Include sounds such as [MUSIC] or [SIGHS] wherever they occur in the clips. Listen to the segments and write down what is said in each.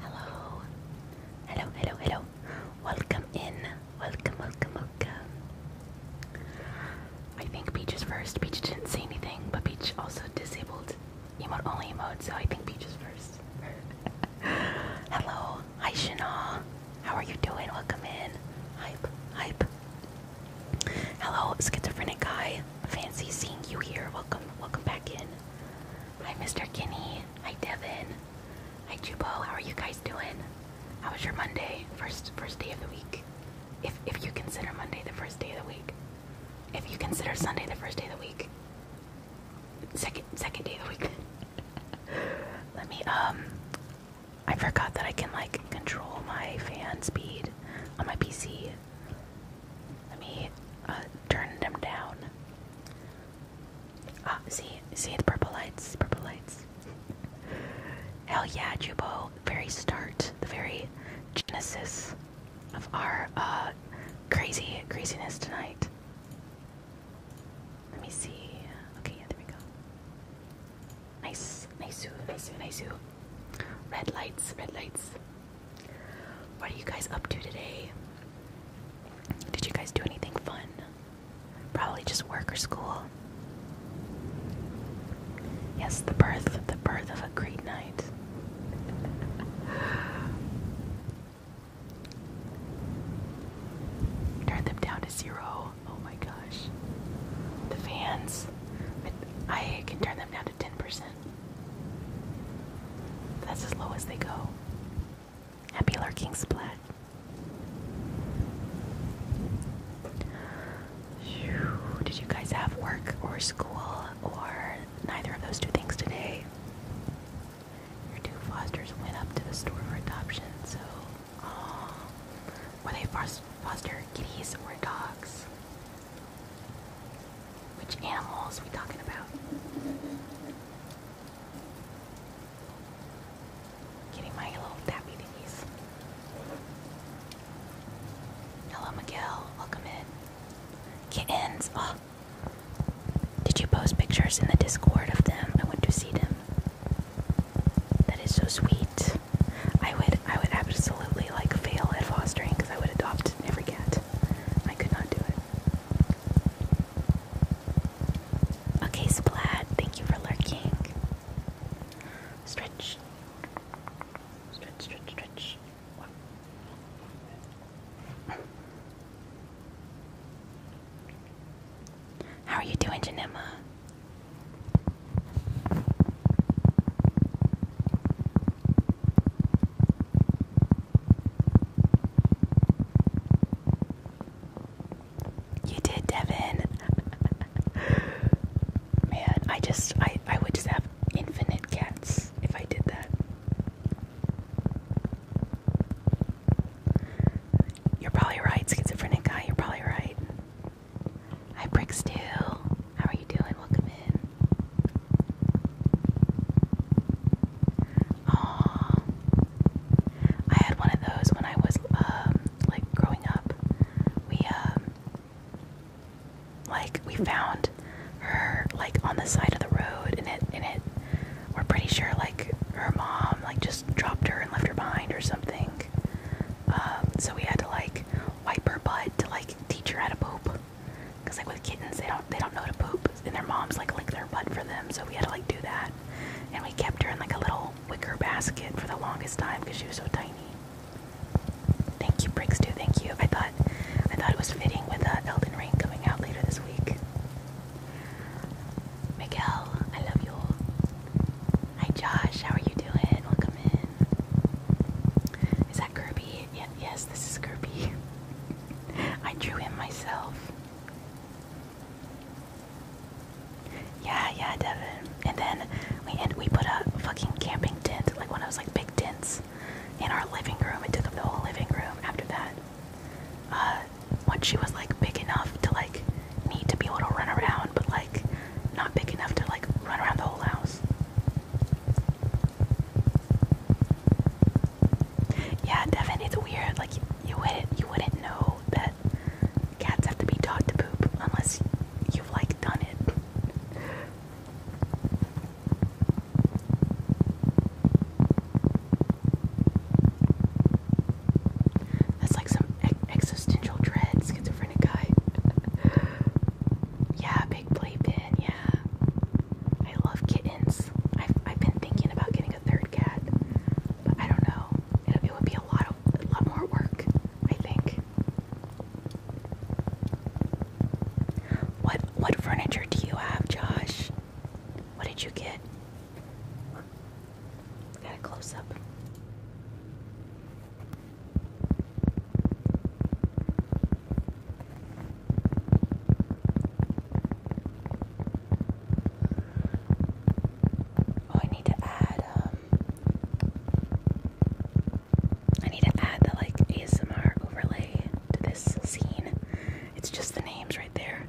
Hello. Hello, hello, hello. Welcome in. Welcome, welcome, welcome. I think Peach is first. Peach didn't say anything, but Peach also disabled You emote only mode, so I think Peach is first. [LAUGHS] hello. Hi, Shana. How are you doing? Welcome in. Hype, hype. Hello, schizophrenic guy. Fancy seeing you here. Welcome, welcome back in. Hi, Mr. Kinney. Hi, Devin. Hi, Jubo. How are you guys doing? How was your Monday? First, first day of the week. If if you consider Monday the first day of the week. If you consider Sunday the first day of the week. Second second day of the week. [LAUGHS] Let me um. I forgot that I can like control my fan speed on my PC. Let me uh, turn them down. Ah, see, see the purple lights, purple lights. Hell yeah, Jubo! Very start, the very genesis of our uh, crazy craziness tonight. Let me see. Okay, yeah, there we go. Nice, nice, nice, nice. Red lights, red lights. What are you guys up to today? Did you guys do anything fun? Probably just work or school. Yes, the birth, the birth of a great night. Turn them down to zero. Oh my gosh. The fans. I can turn them down. 10%. That's as low as they go. Happy lurking splat. Did you guys have work or school or neither of those two things today? Your two fosters went up to the store for adoption, so oh, were they foster kitties or dogs? Which animals we talking about? Getting my little tabby thingies. Hello, Miguel. Welcome in. Kittens. Oh. Did you post pictures in the Discord of them? I went to see them. That is so sweet. I would, I would absolutely like fail at fostering because I would adopt every cat. I could not do it. Okay, Splat, thank you for lurking. Stretch. Stretch, stretch, stretch. How are you doing, Janema? You did, Devin. [LAUGHS] Man, I just I I would just have infinite cats if I did that. You're probably right, schizophrenic guy. You're probably right. I Bricks too. How are you doing? Welcome in. Aww. I had one of those when I was um like growing up. We um like we found her like on the side of the road and it and it we're pretty sure like her mom like just dropped her and left her behind or something. Um so we had to like wipe her butt to like teach her how to poop. Cause like with kittens, they don't they don't know to poop, and their moms like lick their butt for them. So we had to like do that, and we kept her in like a little wicker basket for the longest time because she was so tiny. Thank you, Briggs. Too thank you. I thought I thought it was fitting with uh, Elden Ring coming out later this week. Miguel, I love you. all. Hi, Josh. How are you doing? Welcome in. Is that Kirby? yes, this is Kirby. [LAUGHS] I drew him myself. Yeah, yeah, Devin. And then we we put a fucking camping tent, like one of those like big tents, in our living room. It took up the whole living room. After that, uh, once she was like big enough to like need to be able to run around, but like not big enough to like run around the whole house. Yeah, Devin, it's weird. Like you, wouldn't you wouldn't know that cats have to be taught to poop unless you've like done it. That's like some existential dread schizophrenic guy. [LAUGHS] Yeah, big playpen. Yeah, I love kittens. I've I've been thinking about getting a third cat, but I don't know. It, would be a lot of a lot more work, I think. What what furniture do you have, Josh? What did you get? Got a close up. Oh, I need to add, um, I need to add the like ASMR overlay to this scene. It's just the names right there.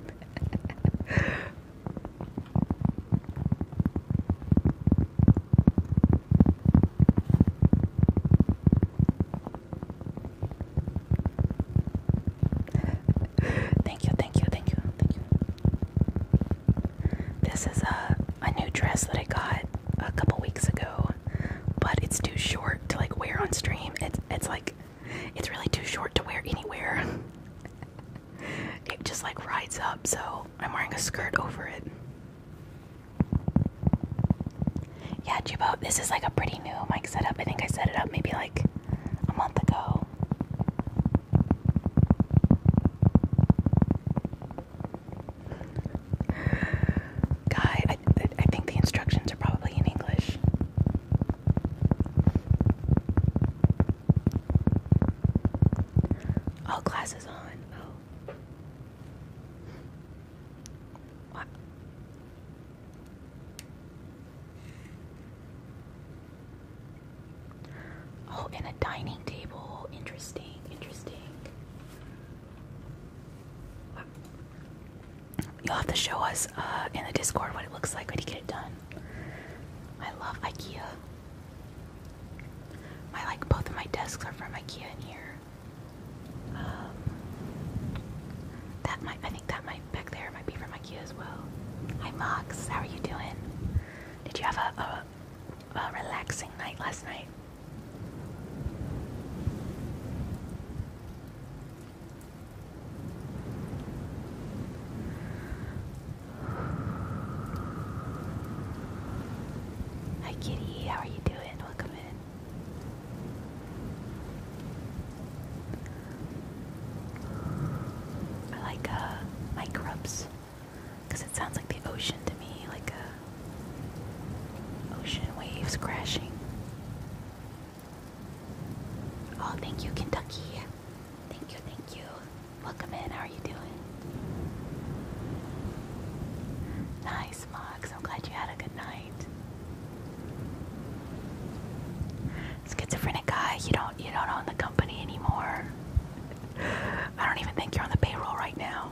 [LAUGHS] thank you, thank you, thank you, thank you. This is a a new dress that I got a couple weeks ago, but it's too short to like wear on stream. It's it's like it's really too short to wear anywhere. [LAUGHS] it just like rides up, so I'm wearing a skirt over it. Yeah, Jubo, this is like a pretty new mic setup. I think I set it up maybe like a month ago. Guy, I think the instructions are probably in English. All classes on. Oh. What? Oh, and a dining table. Interesting, interesting. You'll have to show us uh, in the Discord what it looks like when you get it done. I love IKEA. I like both of my desks are from IKEA in here. Um, that might, I think that might, back there might be for my as well. Hi Mox, how are you doing? Did you have a, a, a relaxing night last night? Hi Kitty, how are you doing? Welcome in. I like uh, microbes because it sounds like the ocean to me, like uh, ocean waves crashing. Oh, thank you, Kentucky. Thank you, thank you. Welcome in. How are you doing? Nice nice, I'm glad you had a good night. Schizophrenic guy, you don't you don't own the company anymore. I don't even think you're on the payroll right now.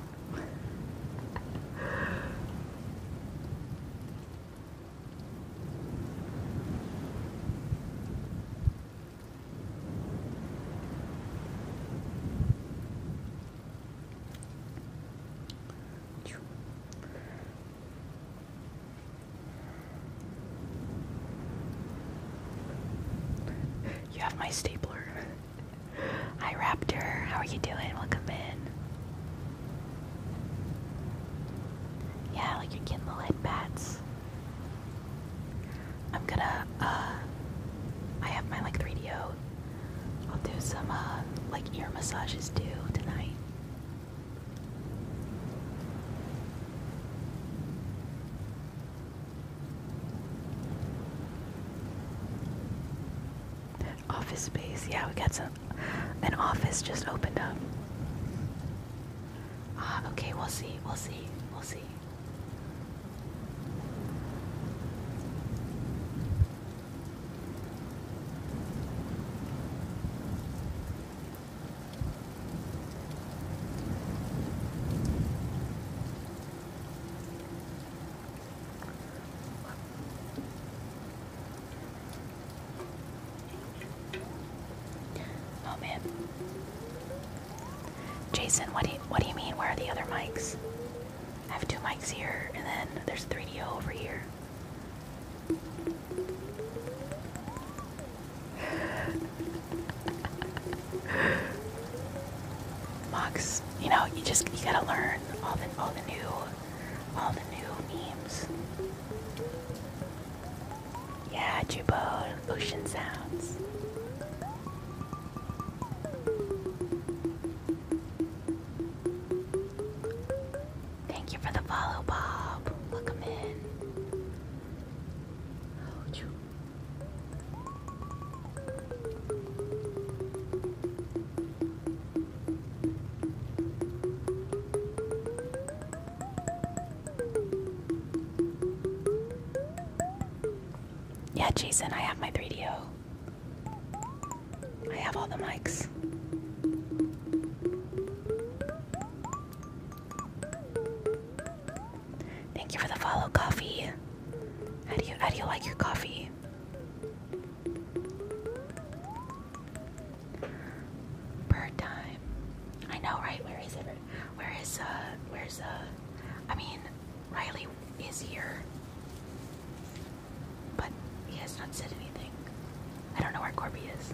You have my stapler. Hi, Raptor. How are you doing? Welcome in. Yeah, like you're getting the bats. I'm gonna, uh, I have my like 3DO. will do some, uh, like ear massages too tonight. Office space. Yeah, we got some. An office just opened up. Ah, okay, we'll see. We'll see. We'll see. Oh man. Jason, what do what do you mean where are the other mics? I have two mics here and then there's 3DO over here. Mox, you know, you just you gotta learn all the all the new all the new memes. Yeah, Jubo, ocean sounds. Thank you for the follow, Bob. Welcome in. Yeah, Jason, I have my 3DO. I have all the mics. Thank you for the follow, coffee. How do you how do you like your coffee? Bird time. I know, right? Where is it? Where is uh? Where's uh? I mean, Riley is here. But he has not said anything. I don't know where Corby is.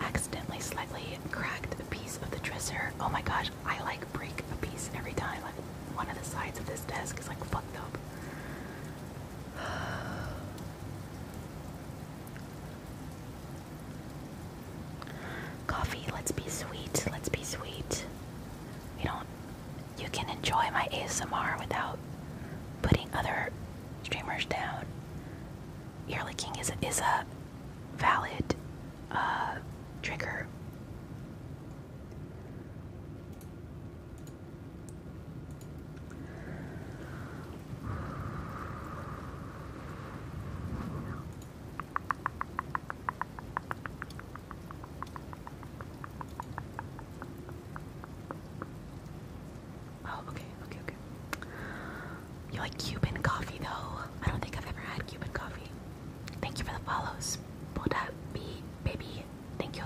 accidentally slightly cracked a piece of the dresser. Oh my gosh, I like break a piece every time. Like one of the sides of this desk is like fucked up. [SIGHS] Coffee, let's be sweet, let's be sweet. You don't you can enjoy my ASMR without putting other streamers down. Yearly King is a, is a valid uh, trigger. Oh, okay, okay, okay. You like Cuban coffee though? I don't think I've ever had Cuban coffee. Thank you for the follows. Boda B baby. Thank you.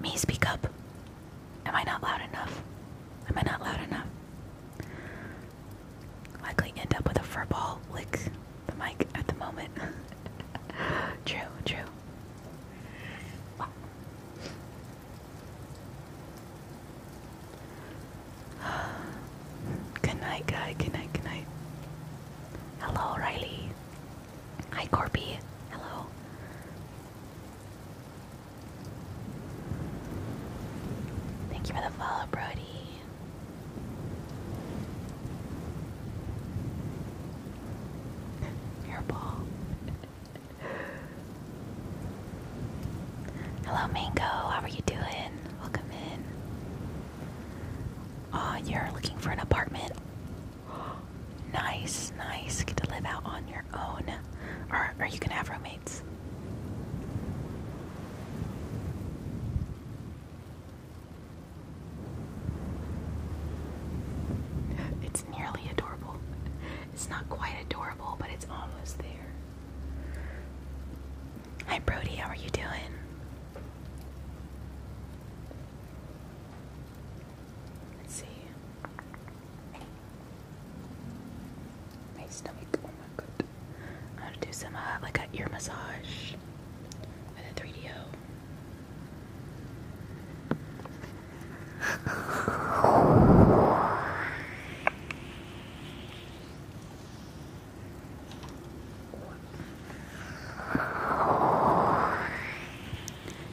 Me speak up. Am I not loud enough? Am I not loud enough? Likely end up with a fur lick the mic at the moment. [LAUGHS] true, true. [SIGHS] Good night, guy. Good night, good night. Hello, Riley. Hi, Corby. Hello. Thank you for the follow, Brody. Your ball. Hello, Mango. How are you doing? Welcome in. Oh, you're looking for an apartment. [GASPS] Nice, nice. Get to live out on your own. Or, or you can have roommates. It's it's nearly adorable. It's not quite adorable, but it's almost there. Hi, Brody. How are you doing? Let's see. My stomach. Oh my god. I'm gonna do some uh, like ear massage with a 3DO.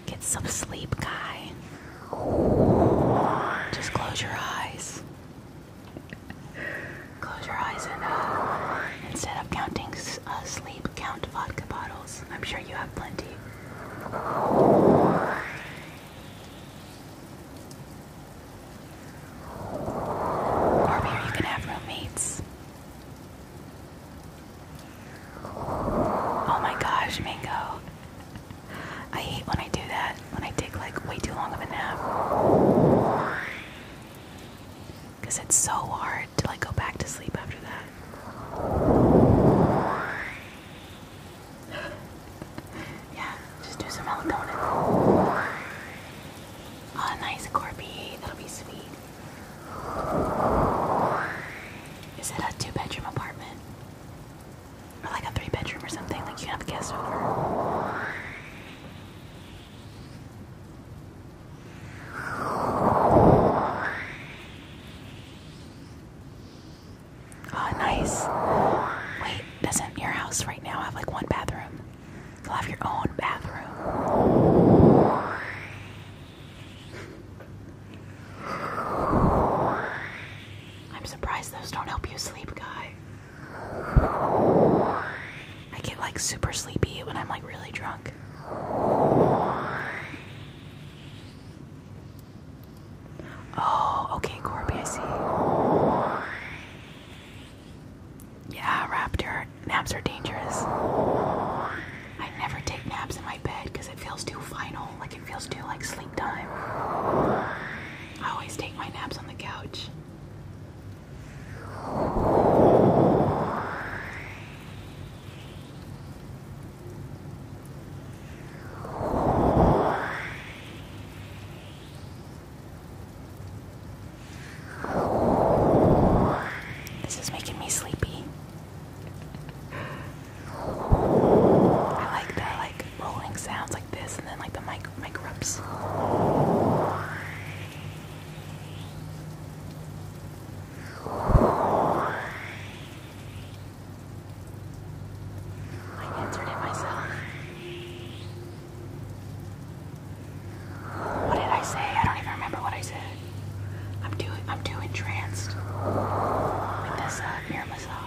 Get some sleep, guy. Just close your eyes. Close your eyes and uh, instead of counting uh, sleep, count vodka bottles. I'm sure you have plenty. Corby, you can have roommates. Oh my gosh, Mango. I hate when I do that, when I take like way too long of a nap. Because it's so hard to like go back to sleep after that yeah, just do some melatonin. Oh, nice, Corby. That'll be sweet. Is it a two bedroom apartment? Or like a three bedroom or something? Like you have a guest over? Oh, nice. Wait, doesn't your house right now have like one bathroom? You'll have your own bathroom. I'm surprised those don't help you sleep, guy. I get like super sleepy when I'm like really drunk. Oh, okay, Corby, I see. Yeah, Raptor, naps are dangerous. I never take naps in my bed because it feels too final, like it feels too like sleep time. I always take my naps on the couch. This is making me sleepy. I like the like rolling sounds like this, and then like the mic mic rubs. I answered it myself. What did I say? I don't even remember what I said. I'm too I'm too entranced with this uh, mirror massage.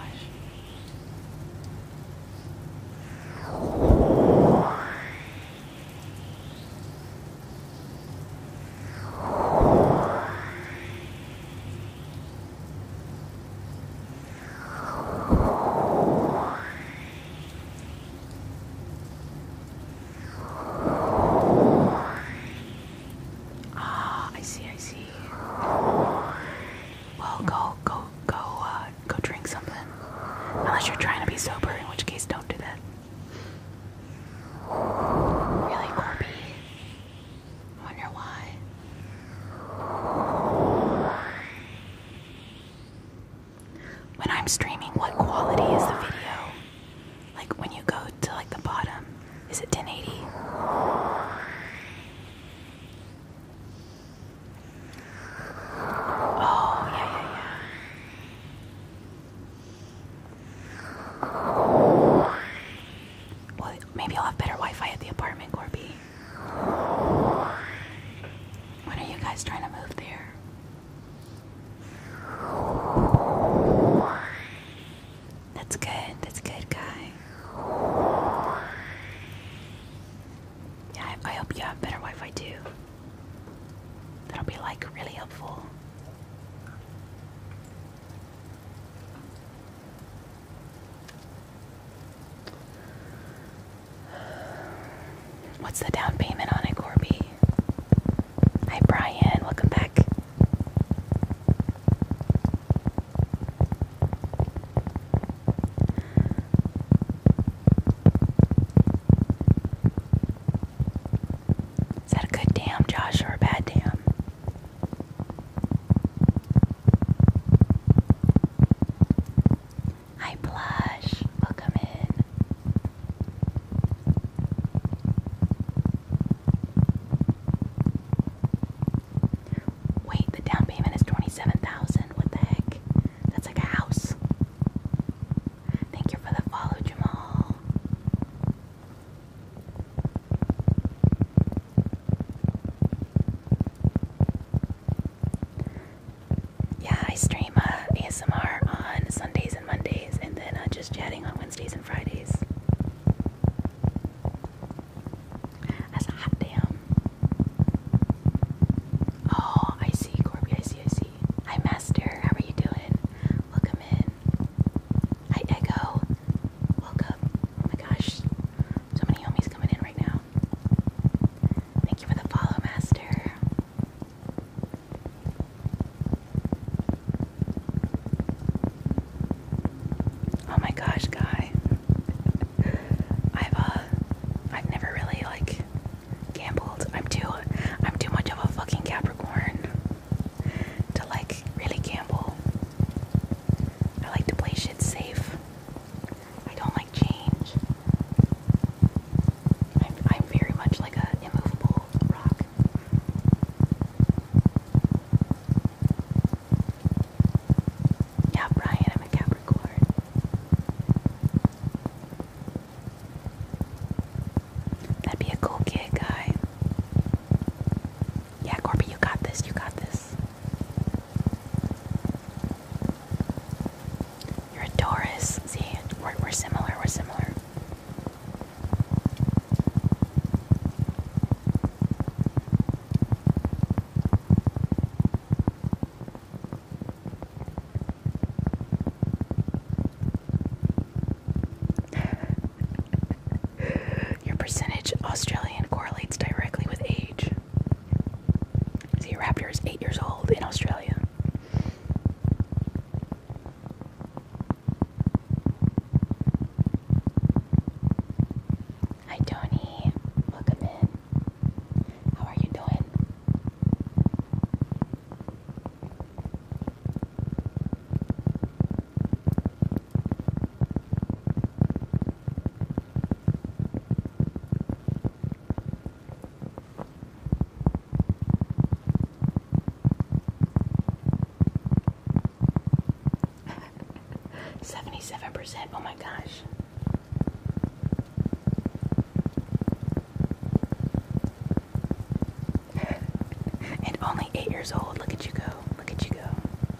Ah, I see, I see. Well, go, go, go, uh, go drink something. Unless you're trying to be sober, in which case, don't do that. Really, Corby? wonder why. When I'm streaming, what quality is the video? Like when you go to like the bottom, is it 1080? Oh, yeah, yeah, yeah. Well, maybe I'll have better Wi-Fi at the apartment, Corby. When are you guys trying to move there? That's good. That's good, guy. Yeah, I hope you have better Wi-Fi too. That'll be like really helpful. What's the down payment on it, Corby? Hi, Brian. Welcome back. Is that a good damn, Josh, or a bad damn? Hi, Blush. Welcome in. Wait, the down payment is 27,000. What the heck? That's like a house. Thank you for the follow, Jamal. Yeah, I stream uh, ASMR on Sundays and Mondays, and then uh, just chatting on Wednesdays and Fridays. That's hot damn. Oh, I see, Corby. I see, I see. Hi, Master. How are you doing? Welcome in. Hi, Echo. Woke up. Oh my gosh. So many homies coming in right now. Thank you for the follow, Master. Oh my gosh, guy. I've uh I've never really like gambled. I'm too I'm too much of a fucking Capricorn to like really gamble. I like to play shit safe. I don't like change. I'm, I'm very much like an immovable rock. Yeah, Brian, I'm a Capricorn. That'd be a cool gig, guy. Yeah, Corby, you got this. You got this. You're a Doris. See, we're, we're similar. We're similar. Your percentage Australian correlates directly with age. See, Raptor is eight years old in Australia. Hi, Tony. Welcome in. How are you doing? [LAUGHS] Seventy-seven percent. Oh my gosh. [LAUGHS] and only eight years old. Look at you go. Look at you go.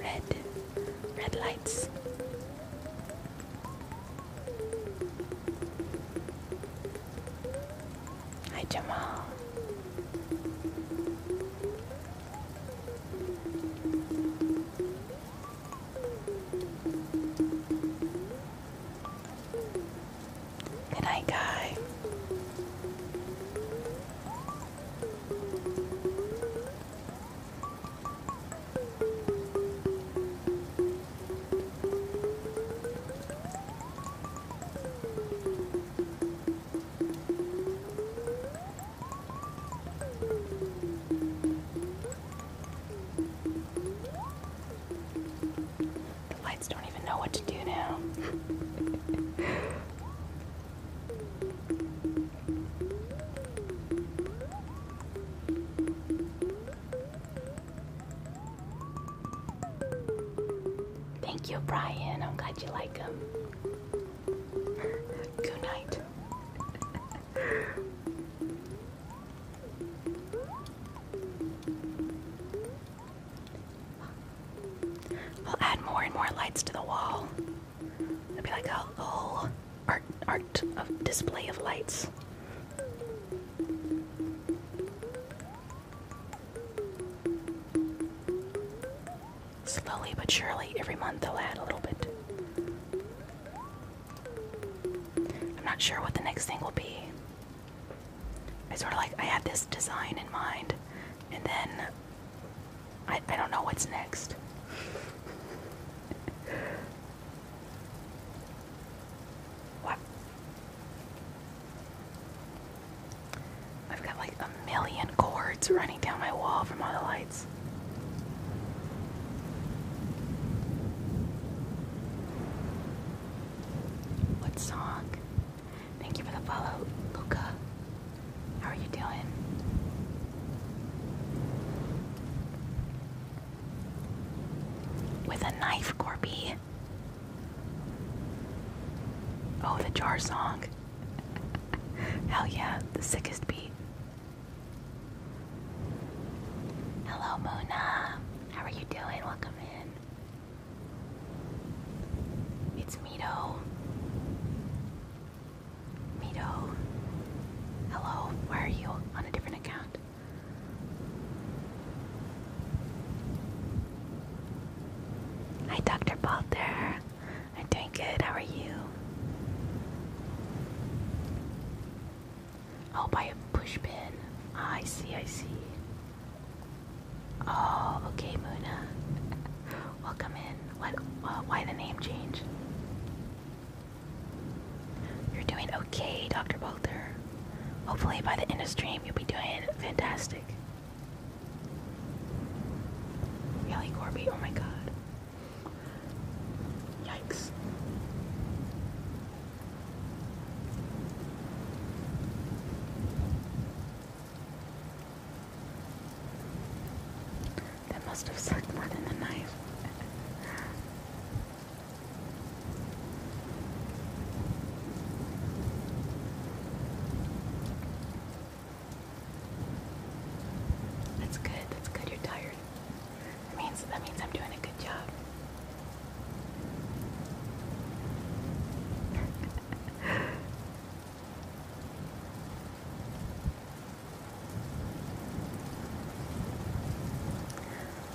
red, red lights. Hi, Jamal. Good night, guy. The lights don't even know what to do now. [LAUGHS] Thank you, Brian. I'm glad you like them. [LAUGHS] Good night. [LAUGHS] We'll add more and more lights to the wall. It'd be like a, oh, whole oh, art art of display of lights. Slowly but surely, every month they'll add a little bit. I'm not sure what the next thing will be. I sort of like, I had this design in mind, and then I, I don't know what's next. What? I've got like a million cords running down my wall from all the lights. What song? Thank you for the follow, Luca. How are you doing? With a knife, Corby. Oh, the jar song. [LAUGHS] Hell yeah, the sickest beat. Hello, Mona. How are you doing? Welcome in. It's me, Mito. Mido. Hello, why are you on a different account? Hi, Dr. Balter. I'm doing good. How are you? I'll oh, buy a pushpin. Ah, I see, I see. Oh, okay, Muna. [LAUGHS] Welcome in. What? Uh, why the name change? You're doing okay, Dr. Bolter. Hopefully, by the end of the stream, you'll be doing fantastic. Yelly Corby, oh my god. Yikes. That must have sucked more than a knife. That's good. That's good. You're tired. That means that means I'm doing a good job. [LAUGHS]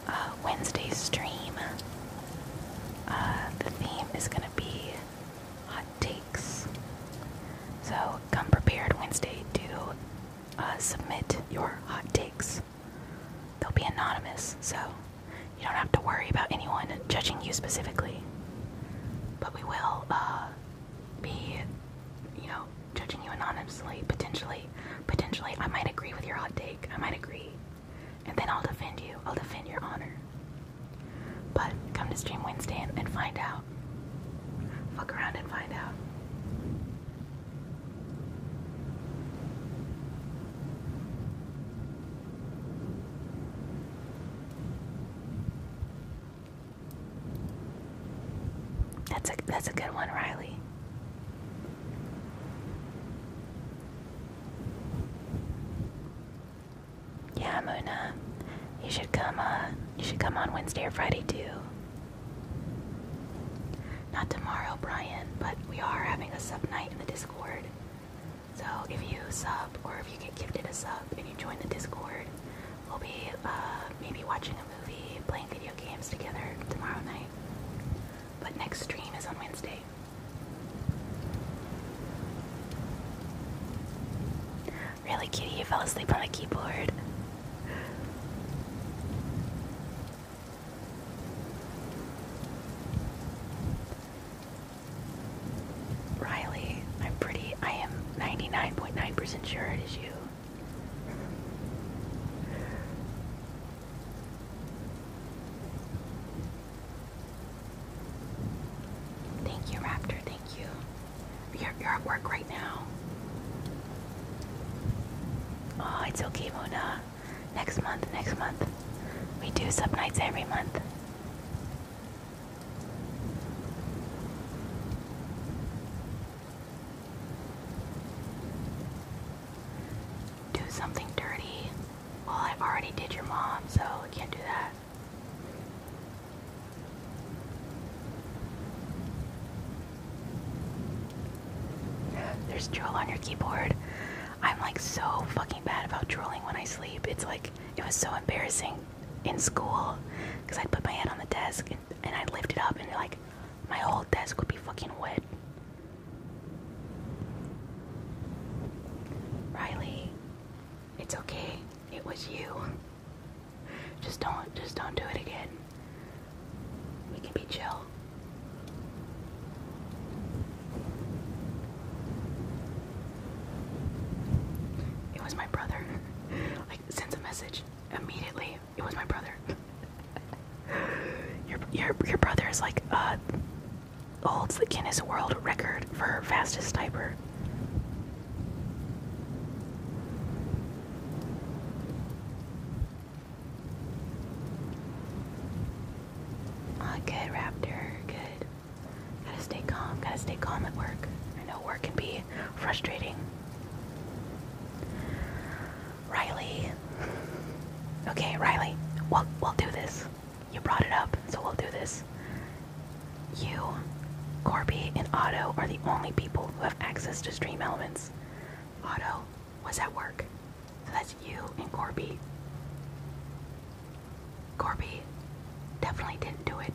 uh, Wednesday's stream. Uh, the theme is going to be hot takes. So come prepared Wednesday to uh, submit your hot takes. They'll be anonymous, so you don't have to worry about anyone judging you specifically. But we will uh, be, you know, judging you anonymously, potentially, potentially, I might agree with your hot take. I might agree, and then I'll defend you. I'll defend your honor. But come to Stream Wednesday and, and find out. Fuck around and find out. That's a that's a good one, Riley. Yeah, Muna, you should come. Uh, you should come on Wednesday or Friday too. Not tomorrow, Brian, but we are having a sub night in the Discord. So if you sub or if you get gifted a sub and you join the Discord, We'll be uh, maybe watching a movie, playing video games together tomorrow night. But next stream is on Wednesday. Really, Kitty, you fell asleep on the keyboard. Riley, I'm pretty, I am 99.9% percent sure it is you. Thank you, Raptor. Thank you. You're, you're at work right now. Oh, it's okay, Mona. Next month, next month. We do sub nights every month do something dirty. Well, I already did your mom, so I can't do that. There's drool on your keyboard. I'm like so fucking bad about drooling when I sleep. It's like it was so embarrassing in school because i put my head on the desk and, and I lift it up, and like, my whole desk would be fucking wet. Riley, it's okay. It was you. Just don't, just don't do it again. We can be chill. It was my brother. [LAUGHS] like, sends a message immediately. It was my brother. [LAUGHS] your your your brother is like uh holds the Guinness World Record for fastest typer. Ah, good Raptor, good. Gotta stay calm, gotta stay calm at work. I know work can be frustrating. Riley. Okay, Riley, we'll, we'll do this. You brought it up, so we'll do this. You, Corby, and Otto are the only people who have access to stream elements. Otto was at work, so that's you and Corby. Corby definitely didn't do it.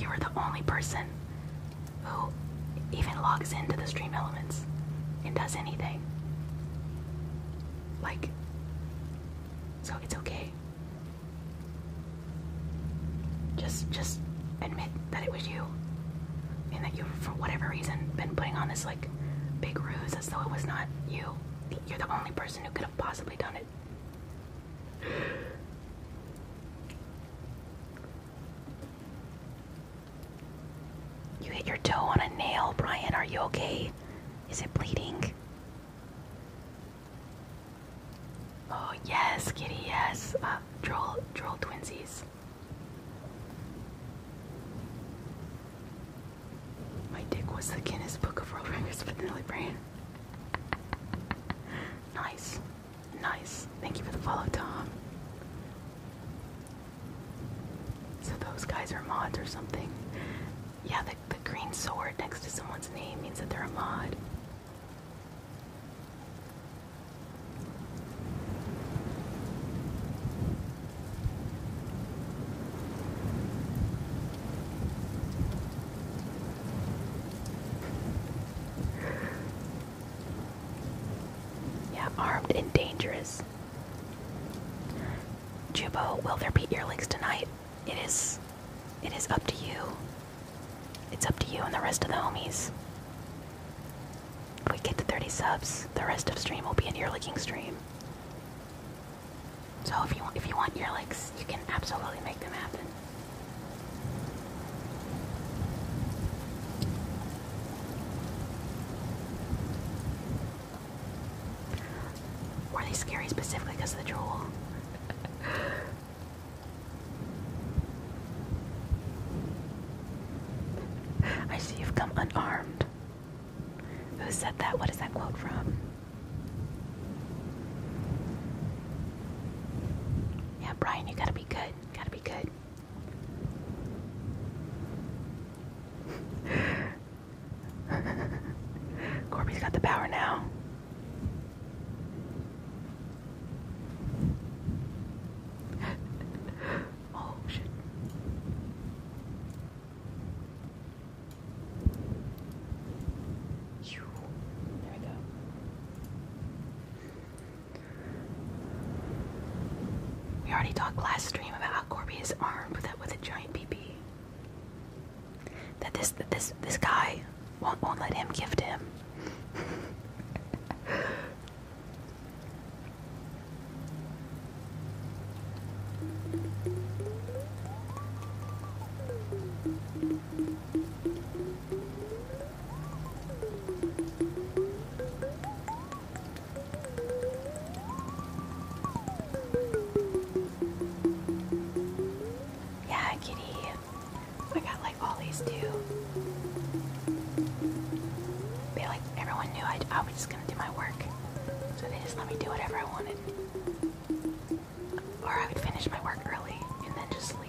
You were the only person who even logs into the stream elements and does anything. Like, so it's okay. Just, just admit that it was you, and that you, for whatever reason, been putting on this like big ruse as though it was not you. You're the only person who could have possibly done it. You hit your toe on a nail, Brian. Are you okay? Is it bleeding? Oh, yes, kitty, yes. Uh, droll, droll twinsies. My dick was the Guinness Book of World Records for the Nelly Brain. [LAUGHS] nice. Nice. Thank you for the follow, Tom. So those guys are mods or something. Yeah, the, the green sword next to someone's name means that they're a mod. Yeah, armed and dangerous. Jubo, will there be earlings tonight? It is. It is up to you. It's up to you and the rest of the homies. If we get to 30 subs, the rest of stream will be an earlicking stream. So if you if you want earlicks, you can absolutely make them happen. Were they scary specifically because of the drool? I see you've come unarmed. Who said that? What is that quote from? Yeah, Brian, you gotta be good. Gotta be good. [LAUGHS] Corby's got the power now. [LAUGHS] oh, shit. There we go. We already talked last stream about how Corby is armed with a, with a giant PP. That this that this this guy won't won't let him gift him. Yeah, kitty. I got like all these too. They like everyone knew I, I was just gonna do my work, so they just let me do whatever I wanted, or I would finish my work early and then just sleep.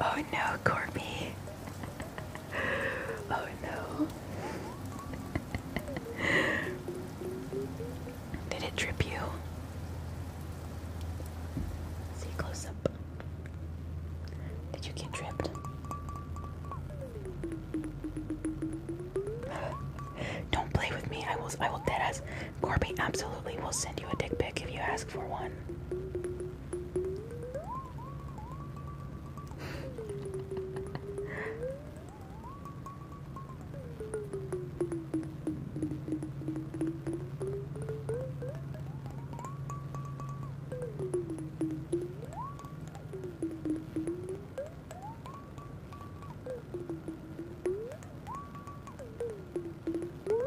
Oh no, Corby. [LAUGHS] oh no. Did it trip you? See close up. Did you get tripped? [GASPS] Don't play with me. I will I will dead ass Corby absolutely will send you a dick pic if you ask for one. [LAUGHS]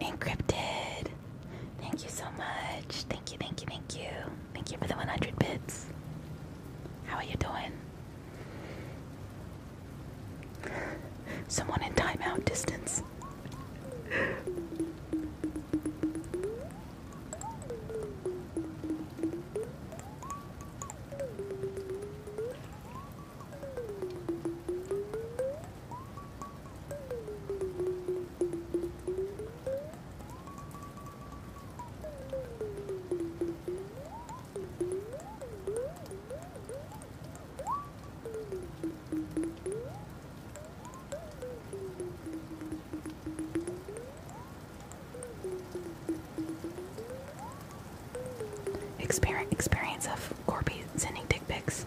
Encrypted. Thank you so much. Thank you, thank you, thank you. Thank you for the 100 bits. How are you doing? Someone in timeout distance. Experience, experience of Corby sending dick pics.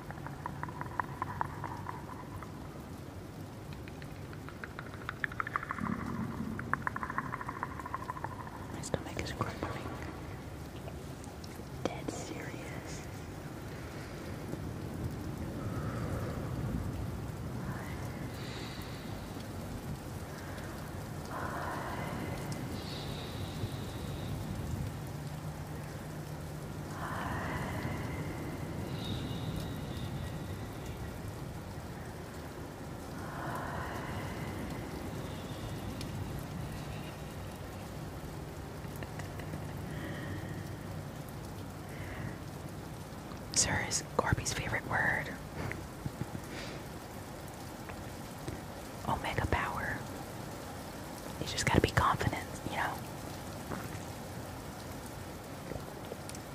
My stomach is grumbling. Dead serious. Hush. Hush. Sir is Corby's favorite word. Omega power. You just gotta be confident, you know.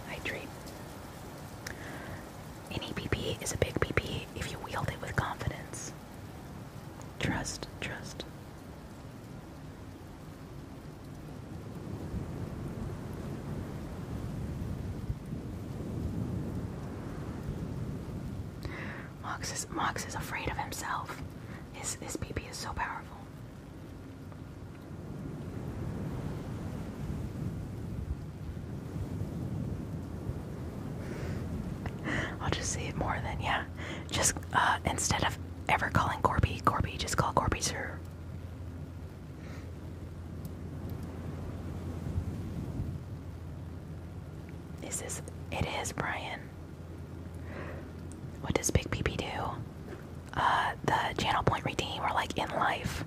Hydrate. Any PP is a big PP if you wield it with confidence. Trust, trust. Mox is Mox is afraid of himself. This his PP is so powerful. I'll just say it more than yeah. Just uh, instead of ever calling Corby, Corby, just call Corby sir. Is this? It is Brian. What does Big PP do? Uh, the channel point redeem or like in life.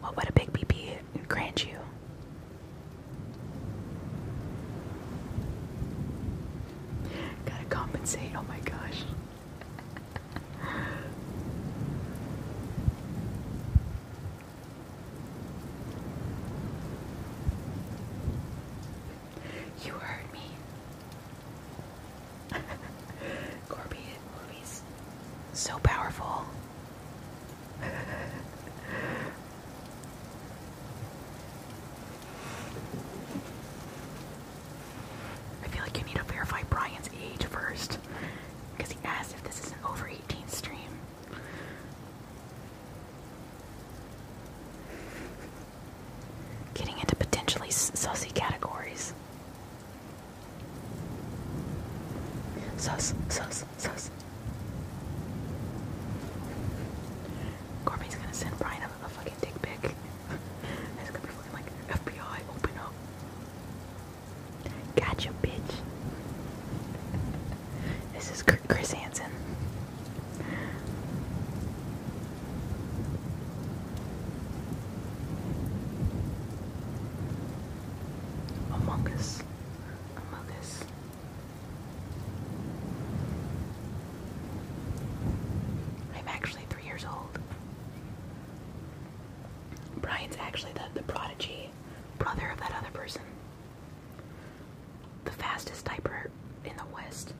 What would a Big PP grant you? Gotta compensate, oh my gosh. [LAUGHS] You heard me. [LAUGHS] Corby movies. So powerful. I feel like you need to verify Brian's age first. Because he asked if this is an over 18 stream. Getting into potentially saucy categories. Sus, sus, sus. Corbin's gonna send Brian a fucking dick pic. [LAUGHS] It's gonna be fucking like FBI, open up. Gotcha, bitch. [LAUGHS] This is Chris Hansen. Among Us. I'm actually three years old. Brian's actually the, the prodigy brother of that other person. The fastest diaper in the West.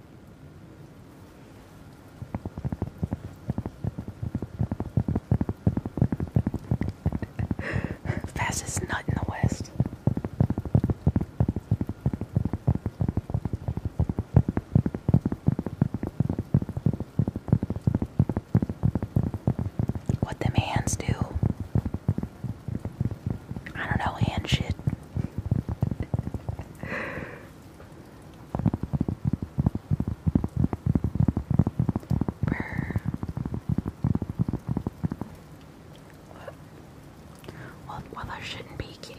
[LAUGHS] Fastest nut in the West. What them hands do? I don't know, hand shit. Well, well, there shouldn't be, kitty.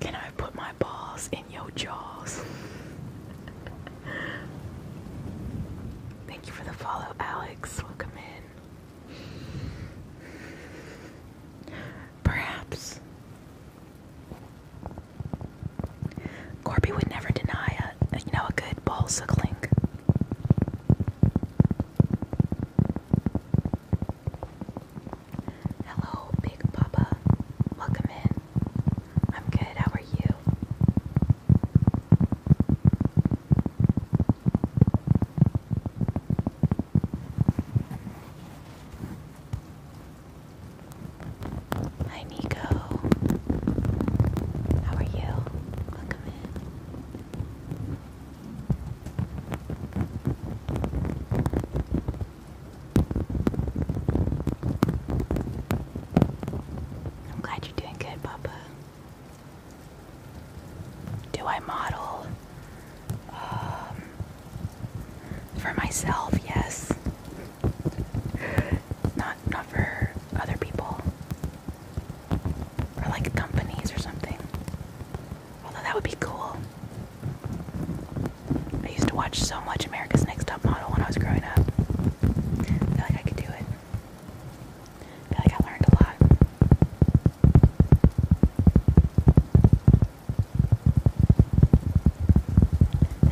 Can I put my balls in your jaws? Thank you for the follow, Alex. Welcome in. Perhaps. Corby would never deny a, you know, a good ball suckling. Hello, Big Papa. Welcome in. I'm good. How are you? Hi, Nico. How are you? Welcome in. I'm glad you're doing good, Papa. Do I model um, for myself? Yes. Not not for other people or like companies or something. Although that would be cool. I used to watch so much America's Next Top Model when I was growing up. I feel like I could do it. I feel like I learned a lot.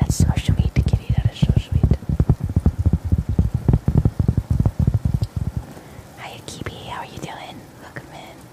That's social meat, kitty. That is social meat. Hiya, Kibi. How are you doing? Welcome in.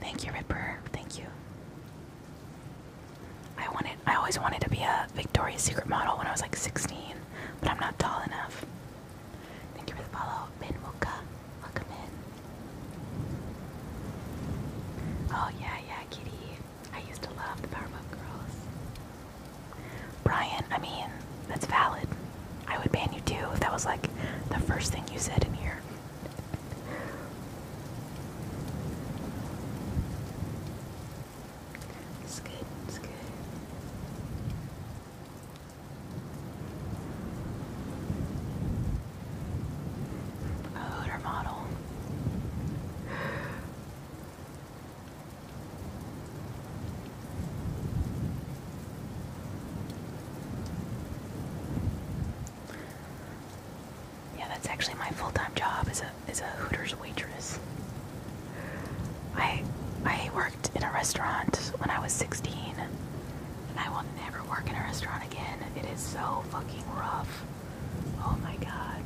Thank you, Ripper. Thank you. I wanted I always wanted to be a Victoria's Secret model when I was like 16, but I'm not tall enough. Thank you for the follow. Min Muka. Welcome in. Oh yeah, yeah, kitty. I used to love the Powerpuff Girls. Brian, I mean, that's valid. I would ban you too if that was like the first thing you said in here. It's good, it's good. A model. Yeah, that's actually my full-time job as a as a Hooters waitress. I I worked in a restaurant when I was 16 and I will never work in a restaurant again. It is so fucking rough. Oh my god.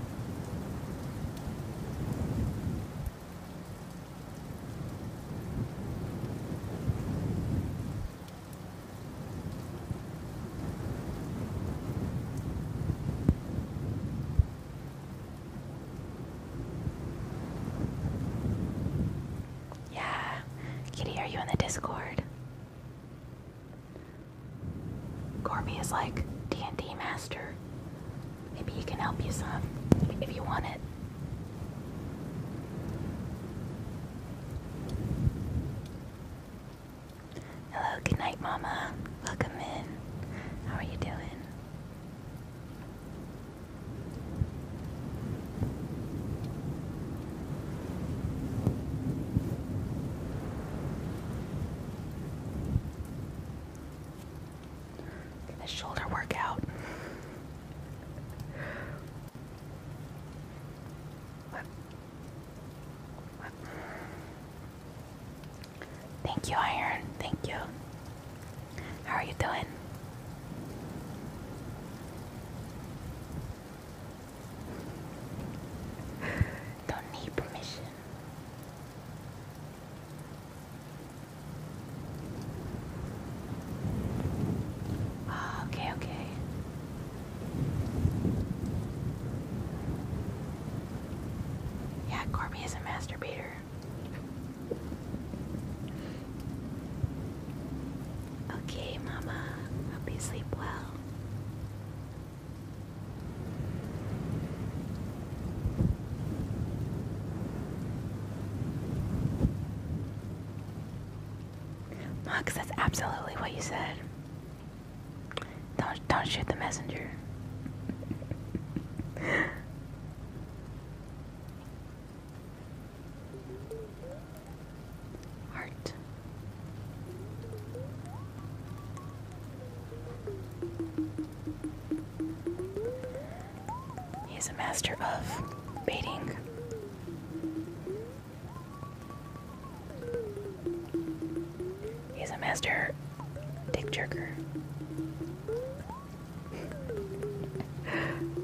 Yeah. Kitty, are you in the Discord? Gormy is like D&D master. Maybe he can help you some if you want it. Hello, good night, Mama. Welcome in. How are you doing? the shoulder workout. Thank you, Iron. Thank you. How are you doing? Don't need permission. Ah, okay, okay. Yeah, Corby is a masturbator. Okay, Mama. Hope you sleep well. Mux, that's absolutely what you said. Don't don't shoot the messenger. [LAUGHS] Heart. He's a master of baiting. He's a master dick jerker. [LAUGHS]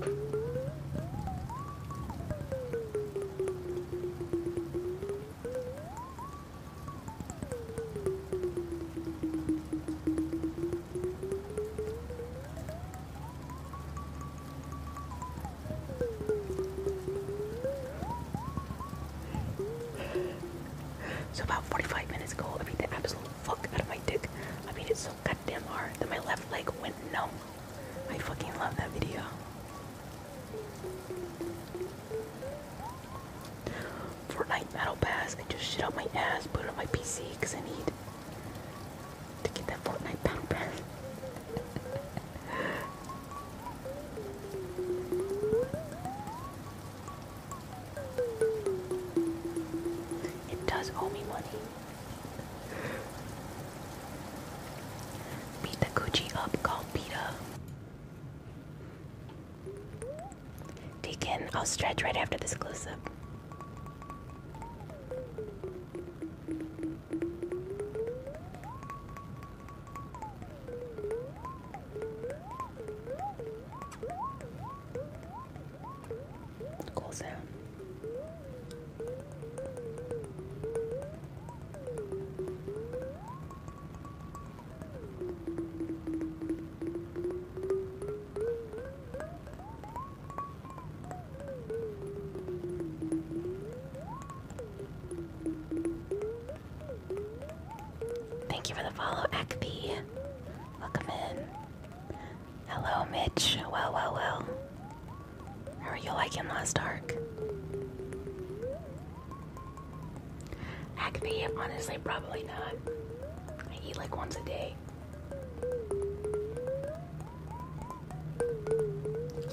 So about 45 minutes ago, I beat the absolute fuck out of my dick. I beat it so goddamn hard that my left leg went numb. I fucking love that video. Fortnite Battle Pass. I just shit out my ass, put it on my PC because I need to get that Fortnite Battle Pass. It does owe me money. Beat the Gucci up, called Peta. Deacon, I'll stretch right after this close up. Cool sound. Thank you for the follow, Akpi. Welcome in. Hello, Mitch. Well, well, well. How are you liking Lost Ark? Acne, honestly, probably not. I eat like once a day.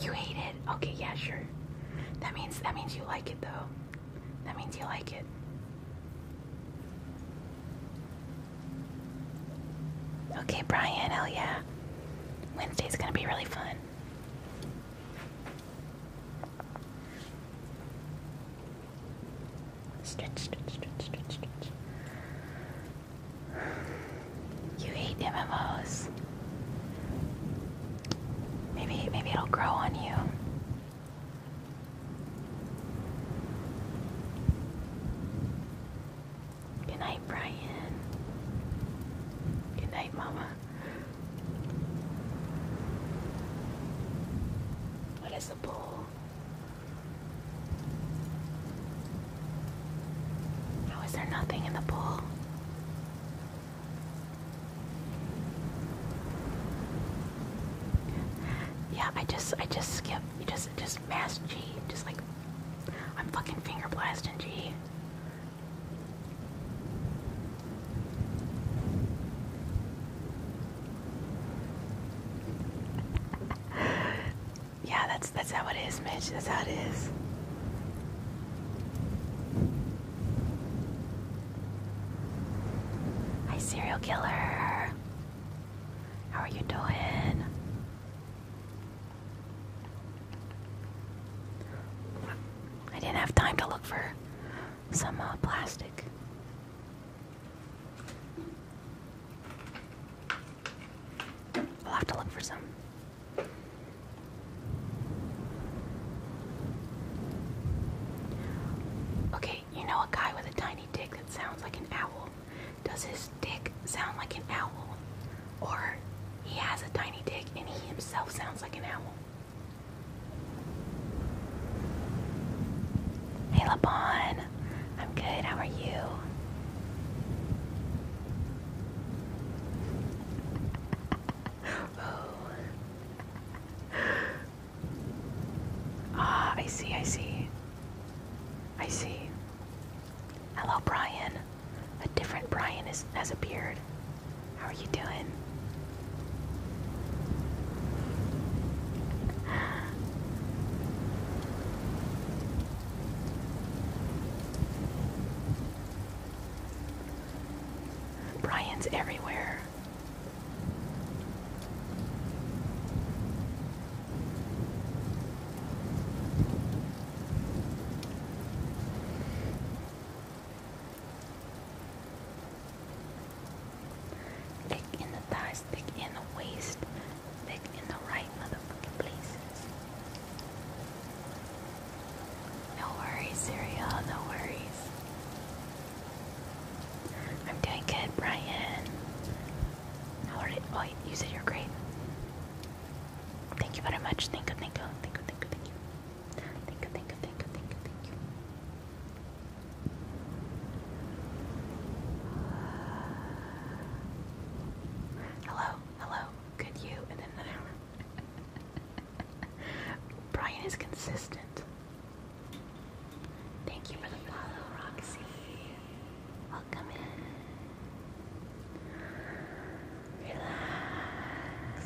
You hate it? Okay, yeah, sure. That means that means you like it though. That means you like it. Okay, Brian, hell yeah. Wednesday's gonna be really fun. Stretch, stretch, stretch, stretch, stretch. You hate MMOs. Maybe maybe it'll grow on you. Good night, Brian. Good night, Mama. What is the pool? How is there nothing in the pool? Yeah, I just I just skip you just just mass G. Just like I'm fucking finger blasting G yeah, that's that's how it is, Mitch. That's how it is. Hi, serial killer. How are you doing? I didn't have time to look for some uh, plastic. I'll have to look for some. Okay, you know a guy with a tiny dick that sounds like an owl. Does his dick sound like an owl? Or he has a tiny dick and he himself sounds like an owl? Hey, LeBon. I'm good. How are you? [GASPS] Ah, I see, I see. I see. Hello, Brian. A different Brian is, has appeared. How are you doing? Brian's everywhere. Thick in the thighs, thick in the waist, thick in the right motherfucking places. No worries, Syria, no worries. I'm doing good, Brian. How Oh, you said you're great. Thank you very much. thank you, thank you, thank you, thank you. Thank you, thank you, thank you, thank you, thank you. Hello, hello, good you, and then an Brian is consistent. Thank you for the follow, Roxy. Welcome in. Relax.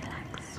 Relax. Relax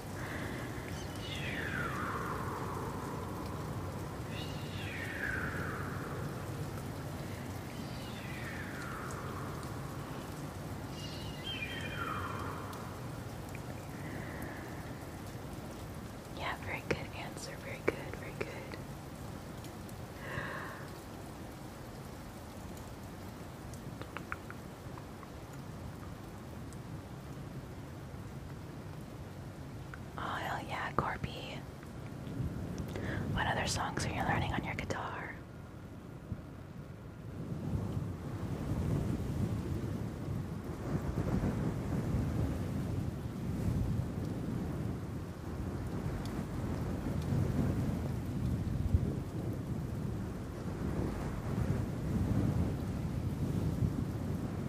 Yeah, very good answer. Very good, very good. Oh, hell yeah, Corby. What other songs are you learning on your guitar?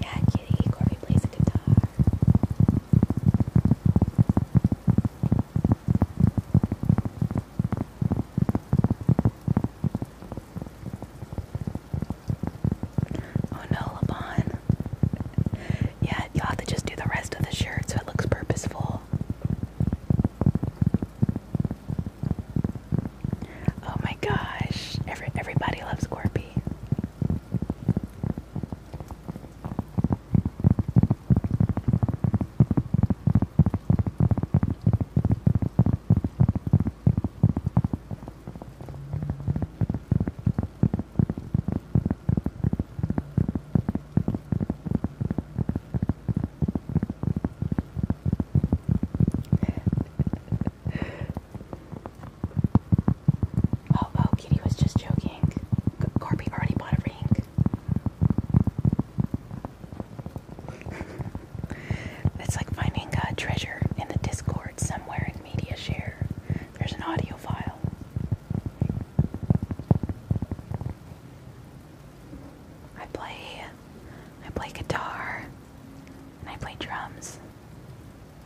Yeah, kitty, Corby plays the guitar. Oh no, LeBon. Yeah, you have to just do the rest of the shirt so it looks purposeful. Oh my gosh, Every, everybody loves Corby. Oh, oh, Kitty was just joking. Corby already bought a ring. it's like finding a treasure in the Discord somewhere in Media Share. There's an audio file. I play I play guitar. And I play drums.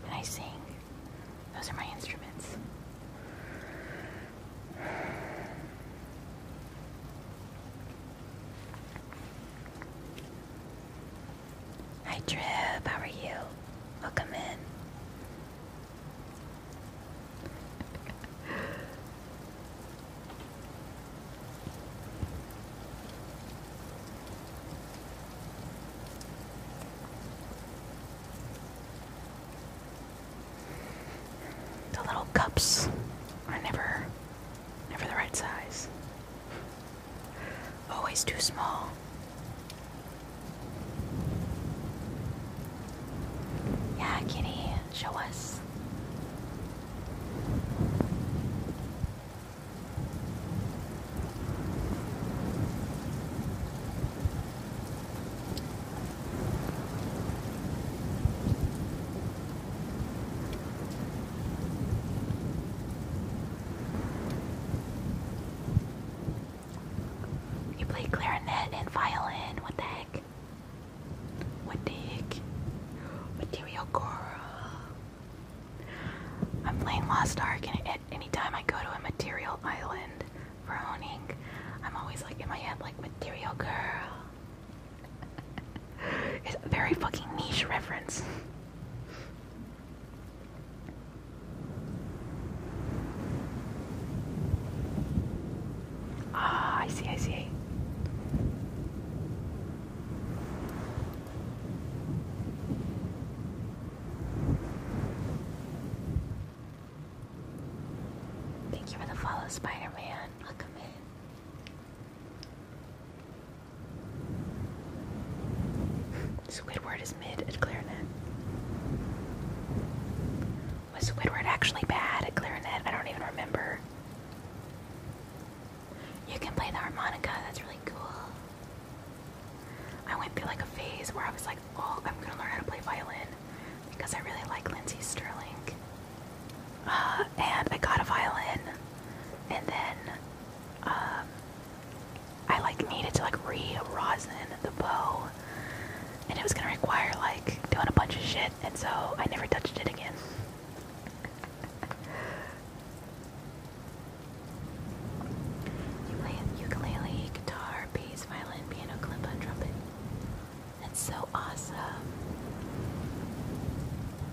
And I sing. Those are my instruments. Hi, Trip. How are you? Welcome in. The little cups are never never the right size. Always too small. Yeah, kitty, show us. You play clarinet and violin. What the heck? What the Material Cora. I'm playing Lost Ark, and any time I go to a material island for owning, I'm always like in my head, like material girl. [LAUGHS] it's a very fucking niche reference. ah, I see, I see. Thank you for the follow, Spider Man. Welcome in. Squidward is mid at clarinet. Was Squidward actually bad at clarinet? I don't even remember. You can play the harmonica, that's really cool. I went through like a phase where I was like, oh, I'm gonna learn how to play violin because I really like Lindsey Sterling. Uh, and I got a violin, and then um, I like needed to like re-rosin the bow, and it was gonna require like doing a bunch of shit, and so I never touched it again. Ukulele, guitar, bass, violin, piano, kalimba, trumpet. That's so awesome.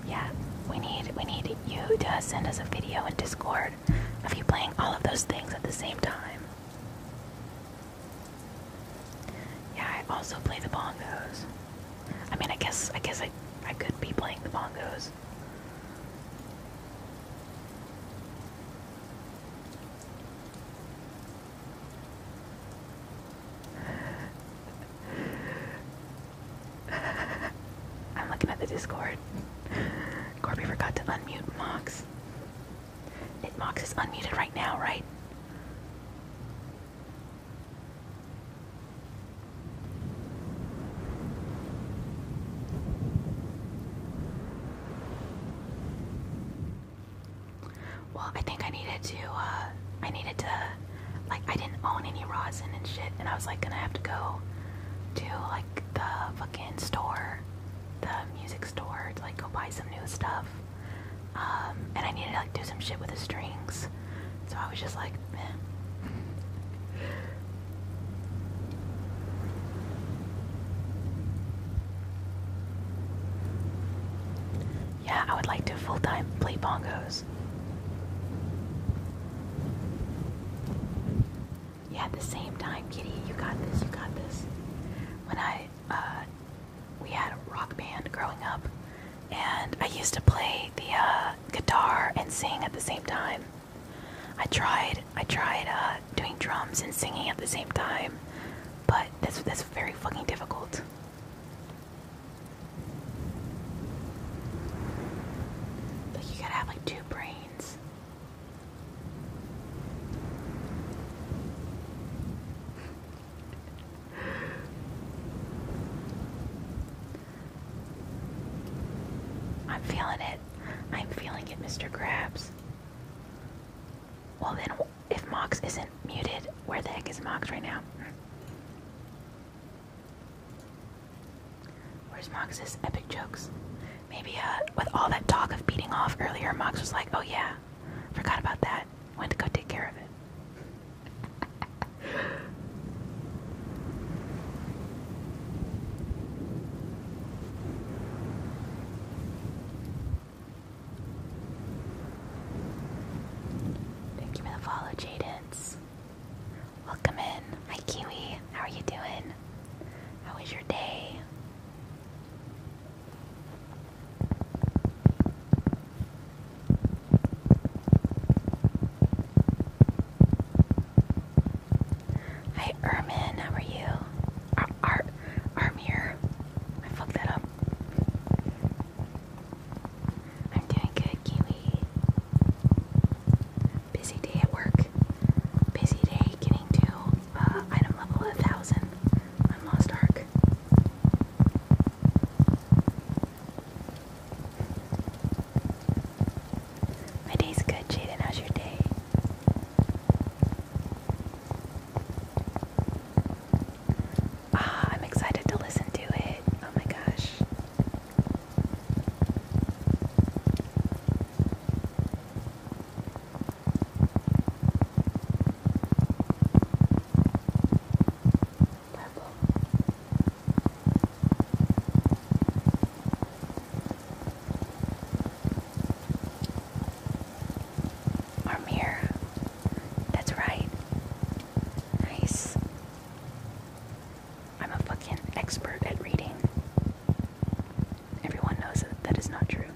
Yeah, we need we need you to send us a video in Discord of you playing all of those things at the same time. Yeah, I also play the bongos. I mean, I guess I guess I I could be playing the bongos. I'm looking at the Discord. Corby forgot to unmute Mox. It Mox is unmuted right now, right? Well, I think I needed to, uh, I needed to, like, I didn't own any rosin and shit, and I was, like, gonna have to go to, like, the fucking store, the music store, to, like, go buy some new stuff. Um, and I needed to, like, do some shit with the strings. So I was just like, man. Yeah, I would like to full time play bongos. Yeah, at the same time, Kitty, you got this, you got this. When I, uh, we had a rock band growing up, and I used to play the uh, guitar and sing at the same time. I tried I tried uh, doing drums and singing at the same time, but that's that's very fucking difficult. Like you gotta have like two brains. I'm feeling it. I'm feeling it, Mr. Krabs. Well, then, if Mox isn't muted, where the heck is Mox right now? Where's Mox's epic jokes? Maybe, uh, with all that talk of beating off earlier, Mox was like, oh yeah, forgot about that. Went to go take care of it. [LAUGHS] Thank you for the follow, Jadence. Welcome in. Hi, Kiwi. How are you doing? How was your day? Hi, Ermin. How are you? Ar Ar Armir. I fucked that up. I'm doing good, Kiwi. Busy day at work. Busy day getting to uh, item level 1000 on Lost Ark. My day's good, Jaden. How's your day? Ah, I'm excited to listen to it. Oh my gosh. Purple. Armir. That's right. Nice. I'm a fucking expert at reading. Everyone knows that that is not true. [LAUGHS]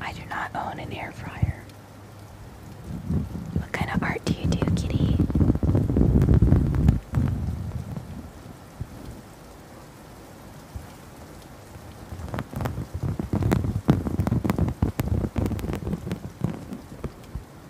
I do not own an air fryer. What kind of art do you do, kitty?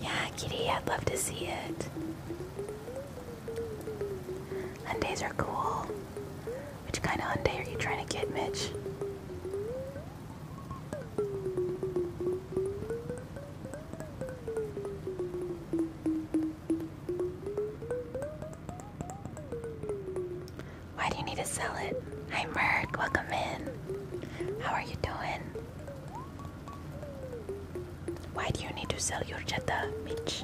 Yeah, kitty, I'd love to see it. Hyundais are cool. Which kind of Hyundai are you trying to get, Mitch? Why do you need to sell it? Hi, Merc. Welcome in. How are you doing? Why do you need to sell your Jetta, Mitch?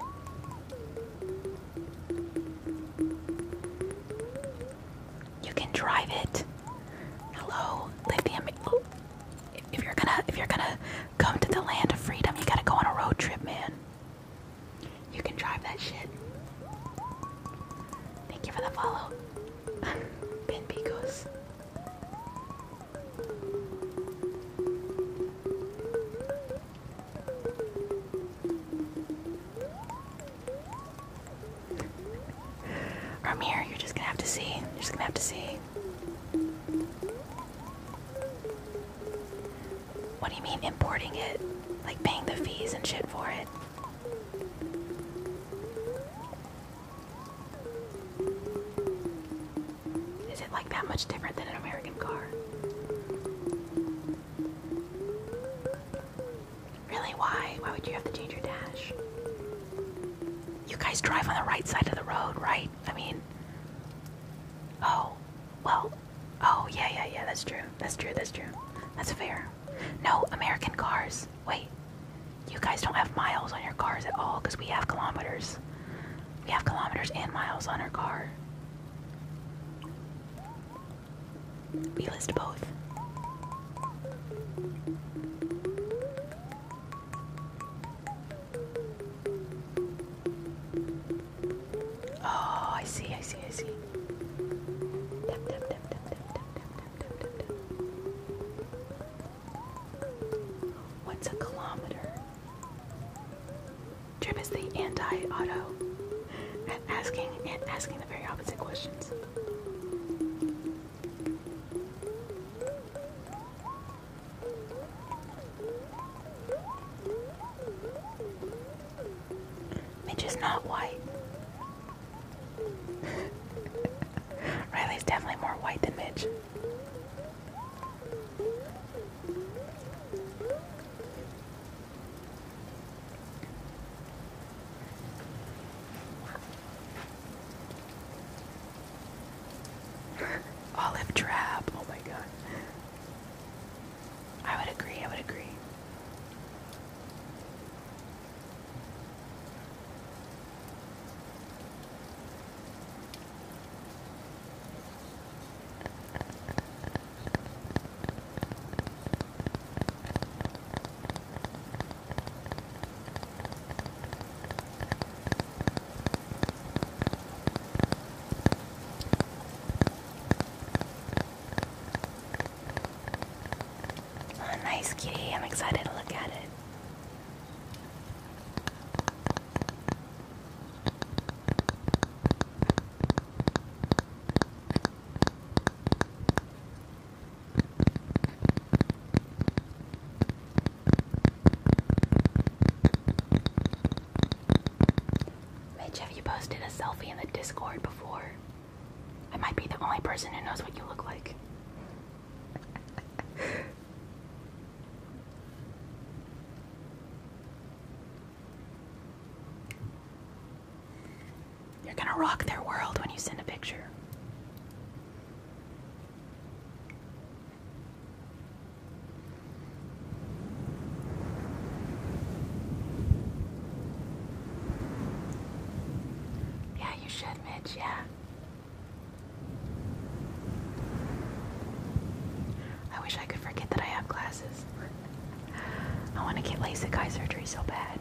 You can drive it. Hello, lithium. Oh, if you're gonna, if you're gonna Come to the land of freedom. You gotta go on a road trip, man. You can drive that shit. Thank you for the follow. [LAUGHS] ben Bigos. Ramir, you're just gonna have to see. You're just gonna have to see. What do you mean importing it? Like paying the fees and shit for it? Is it like that much different than an American car? Really, why? Why would you have to change your dash? You guys drive on the right side of the road, right? I mean, Oh, well, oh, yeah, yeah, yeah, that's true. That's true, that's true. That's fair. No, American cars. Wait, you guys don't have miles on your cars at all because we have kilometers. We have kilometers and miles on our car. We list both. Oh, I see, I see, I see. What's a kilometer? Trip is the anti-auto. And asking and asking the very opposite questions. Mitch is not white. [LAUGHS] Riley's definitely more white than Mitch. [LAUGHS] Olive trap. Oh my god. I would agree. I would agree. [LAUGHS] Oh, nice kitty. I'm excited to look at it. Mitch, have you posted a selfie in the Discord before? I might be the only person who knows what you look like. [LAUGHS] You're gonna rock their world when you send a picture. Yeah, you should, Mitch, yeah. I wish I could forget that I have glasses. I want to get LASIK eye surgery so bad.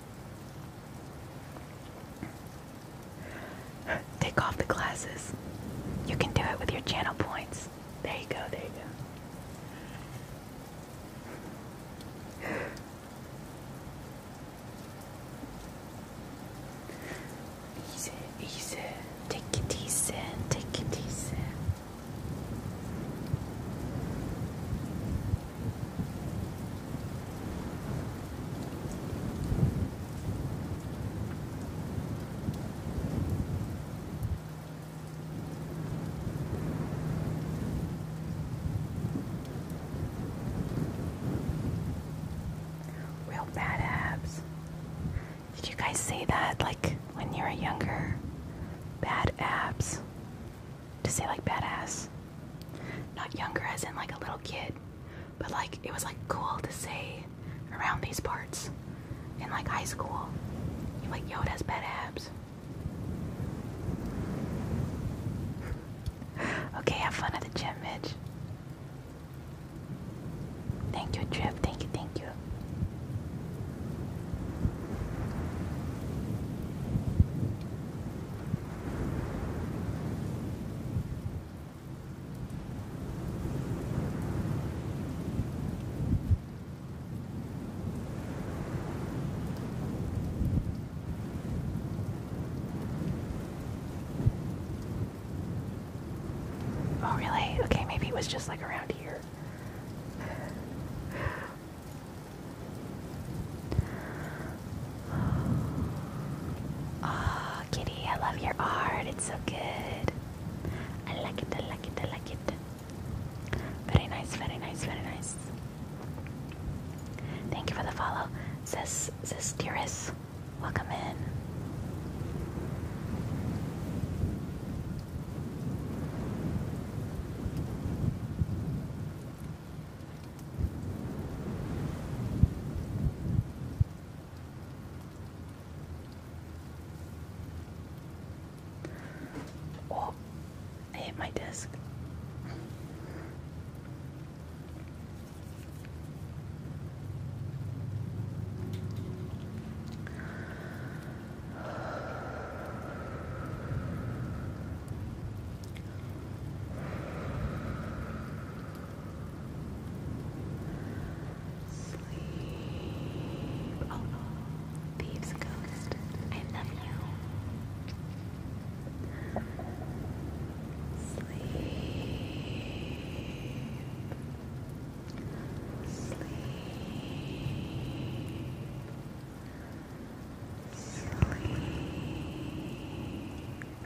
Take off the glasses. You can do it with your channel points. There you go, there you go. Easy, easy. Take it easy, take it easy. Real bad abs. Did you guys say that like when you were younger? Bad abs to say like badass. Not younger as in like a little kid, but like it was like cool to say around these parts in like high school. You're like, yo, that's bad abs. [LAUGHS] okay, have fun at the gym, Mitch. Thank you, Trip. Thank you, thank you. Oh, really? Okay, maybe it was just like around here. Oh, kitty, I love your art. It's so good. I like it, I like it, I like it. Very nice, very nice, very nice. Thank you for the follow. Sis, sis, dearest, welcome in. Oh, I hit my desk. Sleep. Oh, thieves ghost. I love you. Sleep. Sleep. Sleep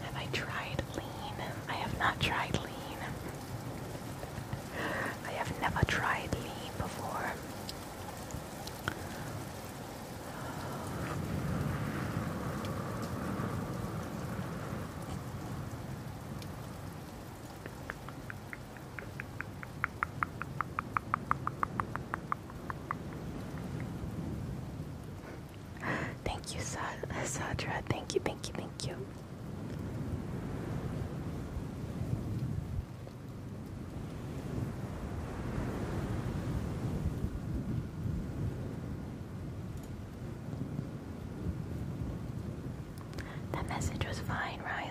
Have I tried lean? I have not tried lean. I have never tried lean before. Thank you, Sadra. Thank you, thank you, thank you. That message was fine, Riley.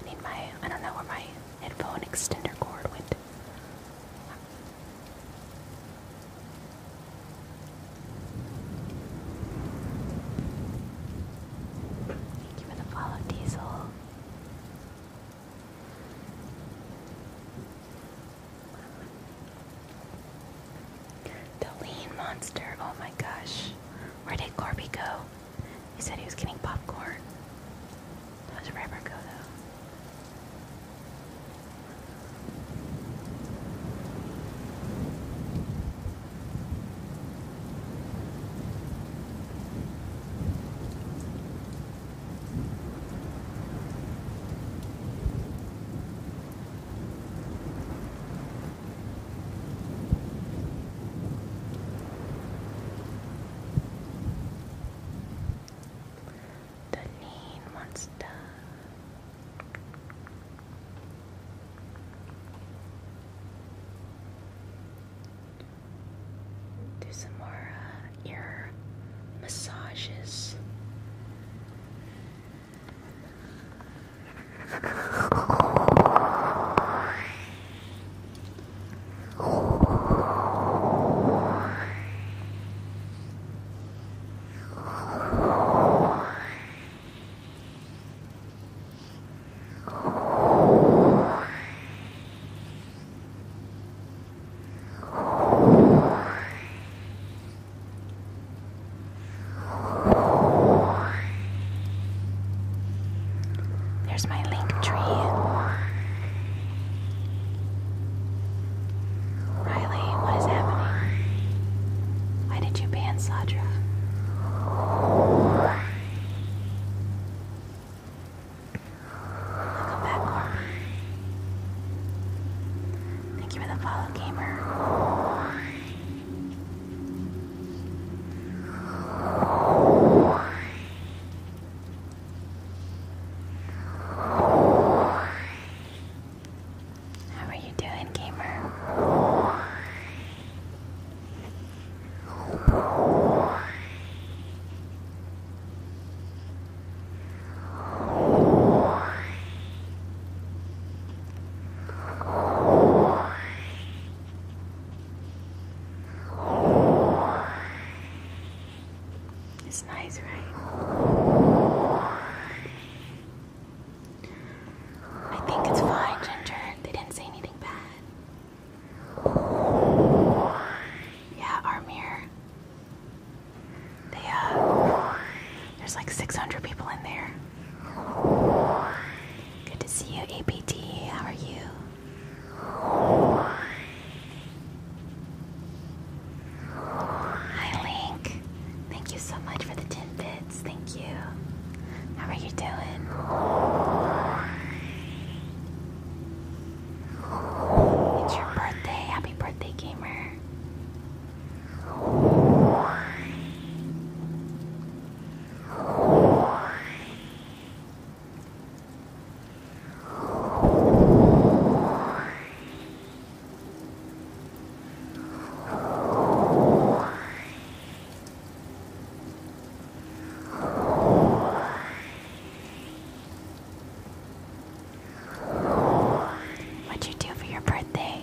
I need my, I don't know where my headphone extender cord went. Thank you for the follow, Diesel. The lean monster. Oh my gosh. Where did Corby go? He said he was getting popcorn. Where did River go though? The lean monster do some more uh, ear massages. There's my link tree. Riley, what is happening? Why did you ban Sadra? Welcome back, Cora. Thank you for the follow, gamer. How are you doing, gamer? It's nice, right? I think it's fine, Ginger. They didn't say anything bad. Yeah, our mirror. Uh, there's like 600 people in there. Good to see you, APT. How are you? Hi, Link. Thank you so much for the 10 bits. Thank you. How are you doing? It's your birthday. Happy birthday, gamer. What'd you do for your birthday?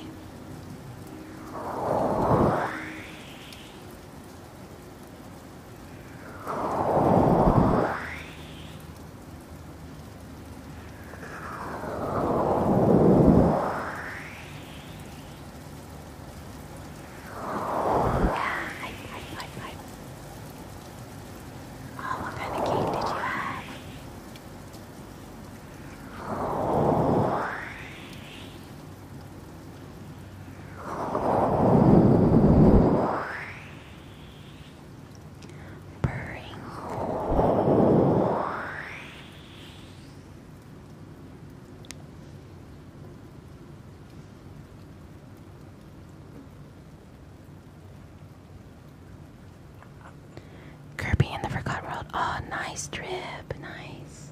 Oh, what kind of cake did you have? Purring. Kirby in the Forgotten World. Oh, nice trip. Nice.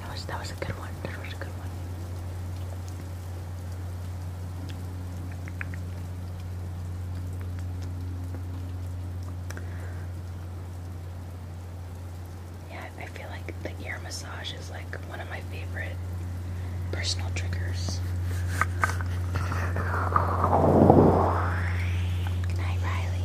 That was that was a good one. That was a good one. Yeah, I feel like the ear massage is like one of my favorite personal triggers. Good night, Riley.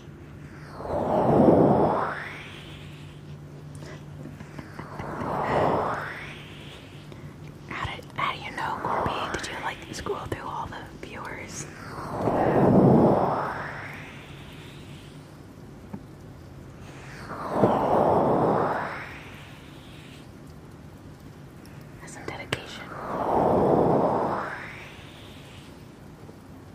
How, did, do you know, Corby? Did you like scroll through all the viewers? some dedication.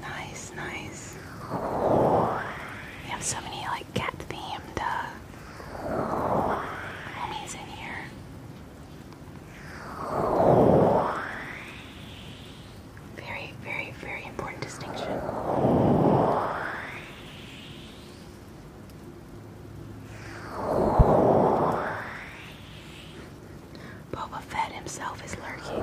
Nice, nice. We have so many like cat themed uh, in here. Very, very, very important distinction. Boba Fett himself is lurking.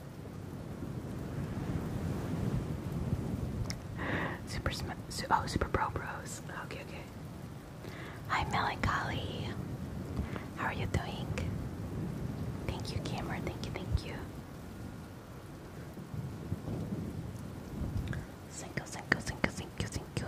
Super Smith. oh, Super Pro Bros. Okay, okay. Hi, Melancholy. How are you doing? Thank you, Cameron. Thank you, thank you. Cinco, cinco, cinco, cinco, cinco.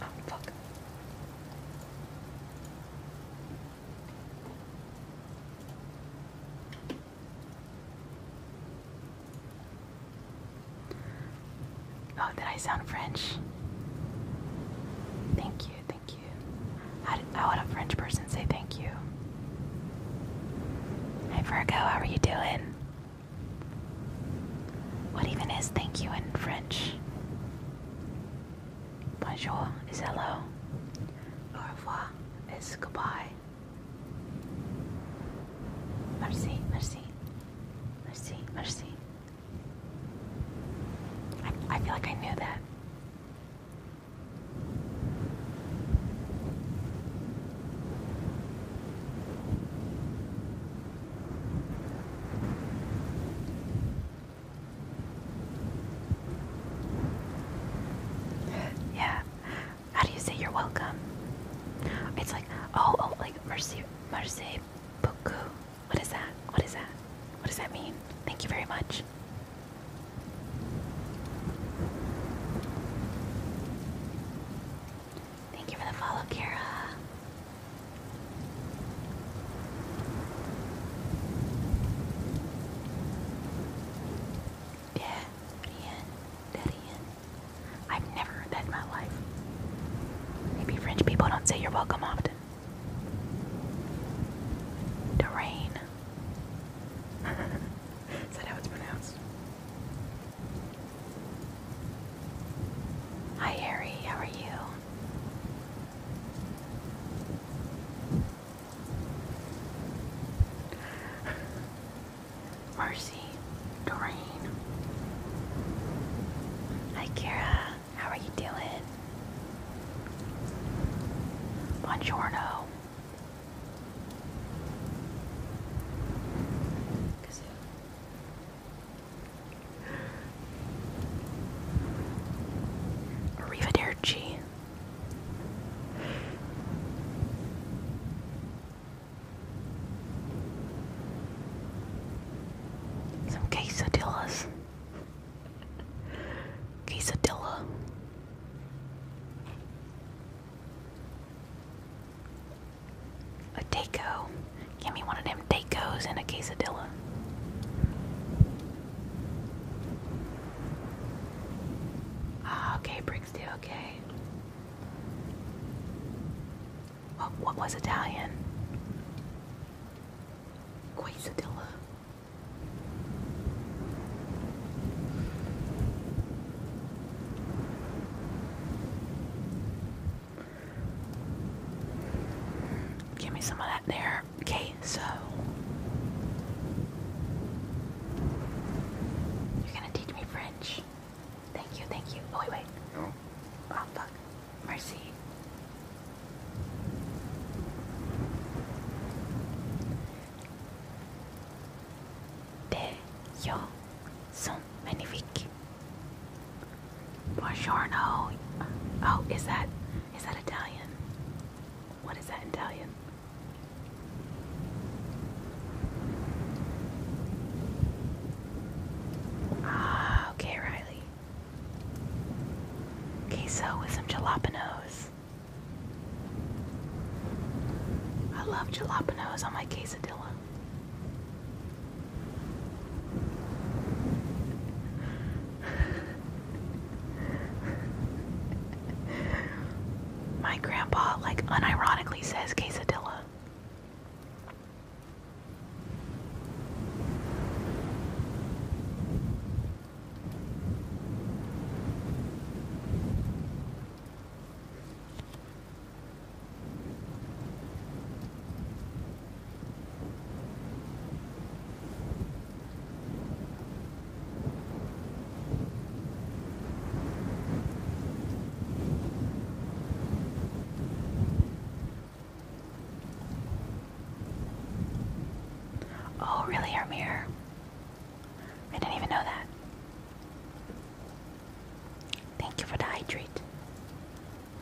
Oh, fuck. Oh, did I sound French? Thank you, thank you. How, did, how would a French person say thank you? Hi Virgo, how are you doing? What even is thank you in French? Bonjour is hello. Au revoir is goodbye. Merci, merci. Merci, merci. I, I feel like I knew that. Yeah. How do you say you're welcome? It's like oh oh like merci merci beaucoup. What is that? What is that? What does that mean? Thank you very much. Thank you for the follow, Kira. Darien, Darien. I've never heard my life. Maybe French people don't say you're welcome often. Dorrain. [LAUGHS] Is that how it's pronounced? Hi, Harry. How are you? Mercy, Doreen. Hi, Kira. How are you doing? Buongiorno. Kasi Arrivederci. Some quesadillas. Quesadilla. A Daco. Give me one of them Dacos and a quesadilla. Ah, okay, Brixty, okay. What, what was Italian? Quesadilla. Give me some of that there. Okay, so you're gonna teach me French. Thank you, thank you. Oh wait, No. Oh fuck. Mercy. De so many magnifique. Buongiorno. Oh, is that is that Italian? What is that Italian? Ah, okay, Riley. Queso with some jalapenos. I love jalapenos on my quesadilla. [LAUGHS] My grandpa, like, unironically says quesadilla. Oh, really, Amir? I didn't even know that. Thank you for the hydrate.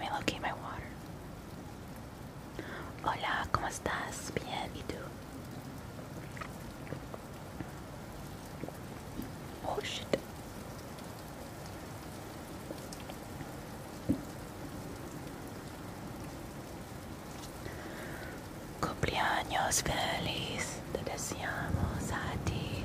Me locate my water. Hola, ¿cómo estás? Bien, ¿y tú? Oh shit. Cumpleaños feliz, te deseamos a ti.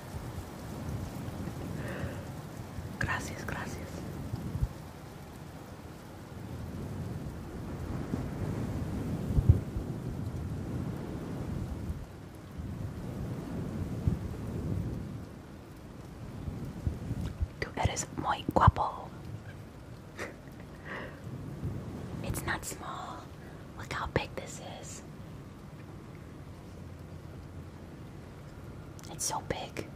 Gracias, gracias. Tú eres muy guapo. [LAUGHS] it's not small. Look how big this is. It's so big.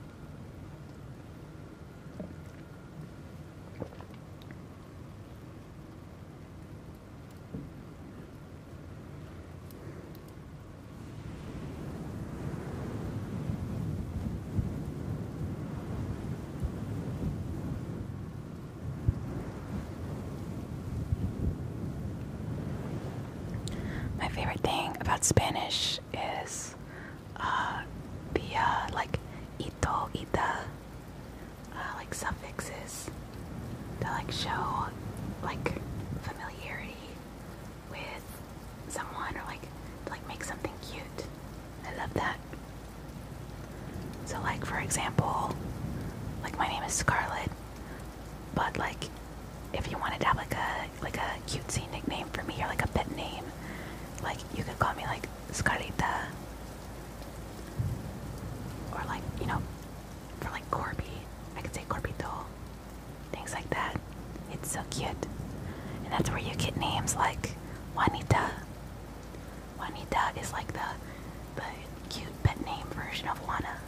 My favorite thing about Spanish is the uh, like ito, ita, uh, like suffixes that like show like familiarity with someone or like like make something cute. I love that. So like for example, like my name is Scarlett but like, if you wanted to have like a like a cutesy nickname for me or like a pet name, like you could call me like Scarita, or like you know, for like Corby, I could say Corbito, things like that. It's so cute, and that's where you get names like Juanita. Juanita is like the the cute pet name version of Juana.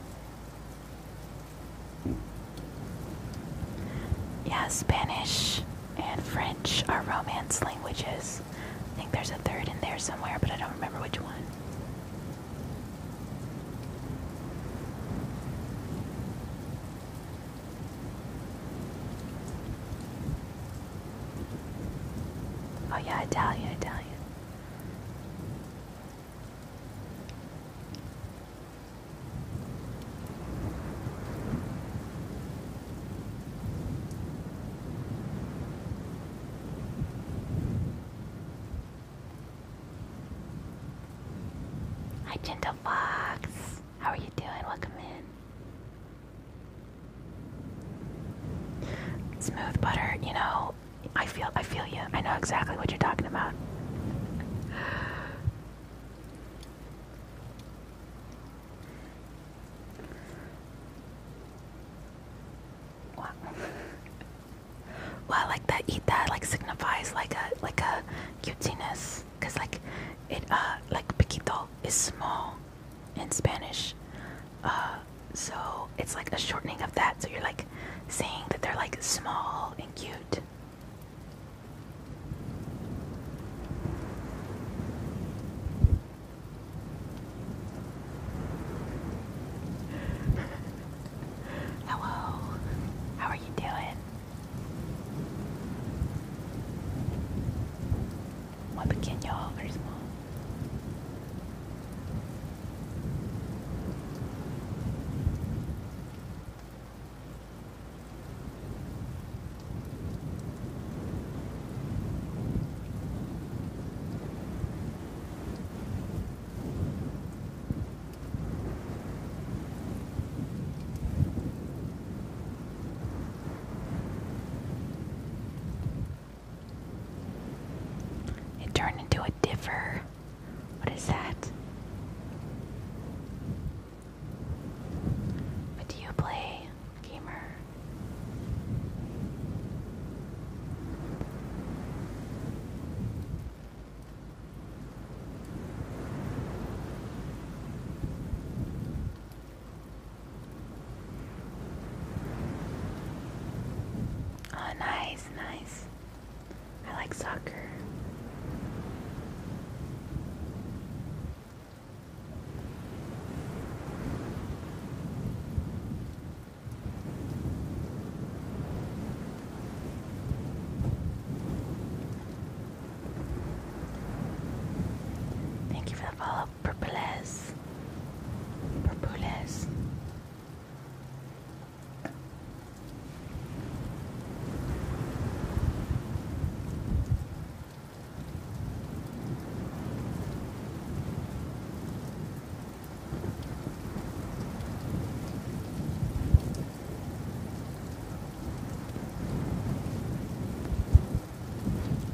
Yeah, Spanish and French are Romance languages. I think there's a third in there somewhere, but I don't remember which one. Oh yeah, Italian, Italian. Hi, Gentle Fox. How are you doing? Welcome in. Smooth butter, you know, I feel I feel you. I know exactly what you're talking about. Wow. [LAUGHS] Well, like that eat that like signifies like a like a cutiness like it uh like piquito is small in Spanish. Uh so it's like a shortening of that. So you're like saying that they're like small and cute. [LAUGHS] Hello, how are you doing? Muy pequeño, very small. It turned into a differ. What is that? What do you play, gamer? Oh, nice, nice. I like soccer. Thank you for the follow, Purples. Purples.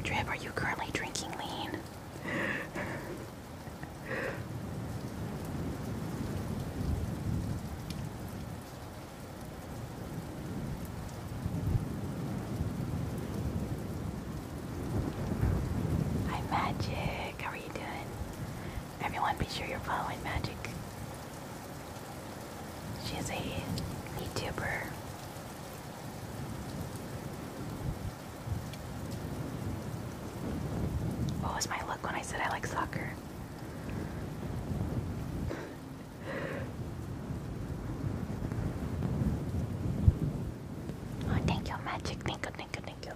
Drip, are you currently drinking lean? Hi Magic, how are you doing? Everyone be sure you're following Magic. She is a YouTuber. What was my look when I said I like soccer? oh, thank you, Magic. Thank you, thank you, thank you.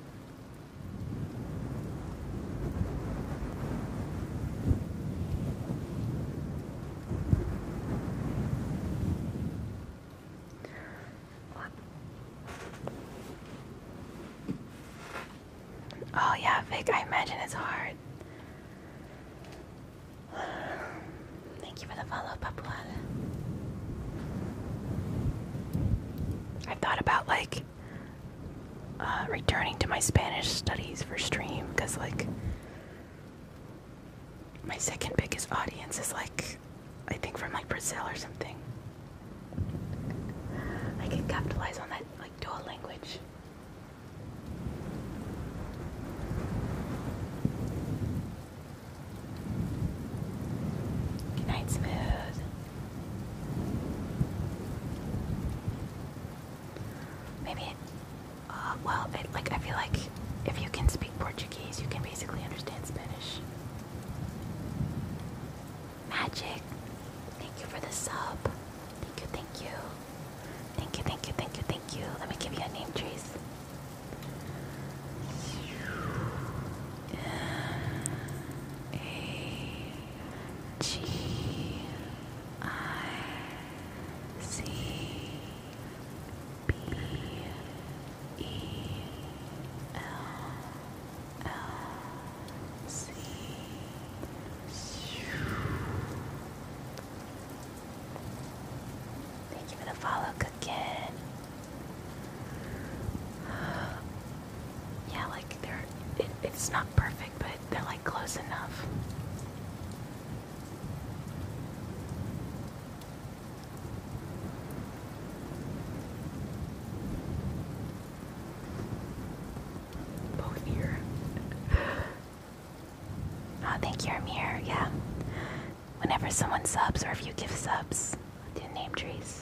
What? Oh yeah, Vic, I imagine it's hard. Thank you for the follow, Papuad. I've thought about like uh, returning to my Spanish studies for stream because like my second biggest audience is like I think from like Brazil or something. I can capitalize on that, like dual language. Good night, Smooth. Maybe, uh, well, like I feel like if you can speak Portuguese, you can basically understand Spanish. Magic, thank you for the sub. Thank you, thank you. Thank you, thank you, thank you, thank you. Let me give you a name, Trace. A G I C B E L Thank you for the follow, Cookin. Yeah, like they're it, it's not perfect, but they're like close enough. Both here. [GASPS] oh, thank you, Amir. Yeah. Whenever someone subs or if you give subs do name trees.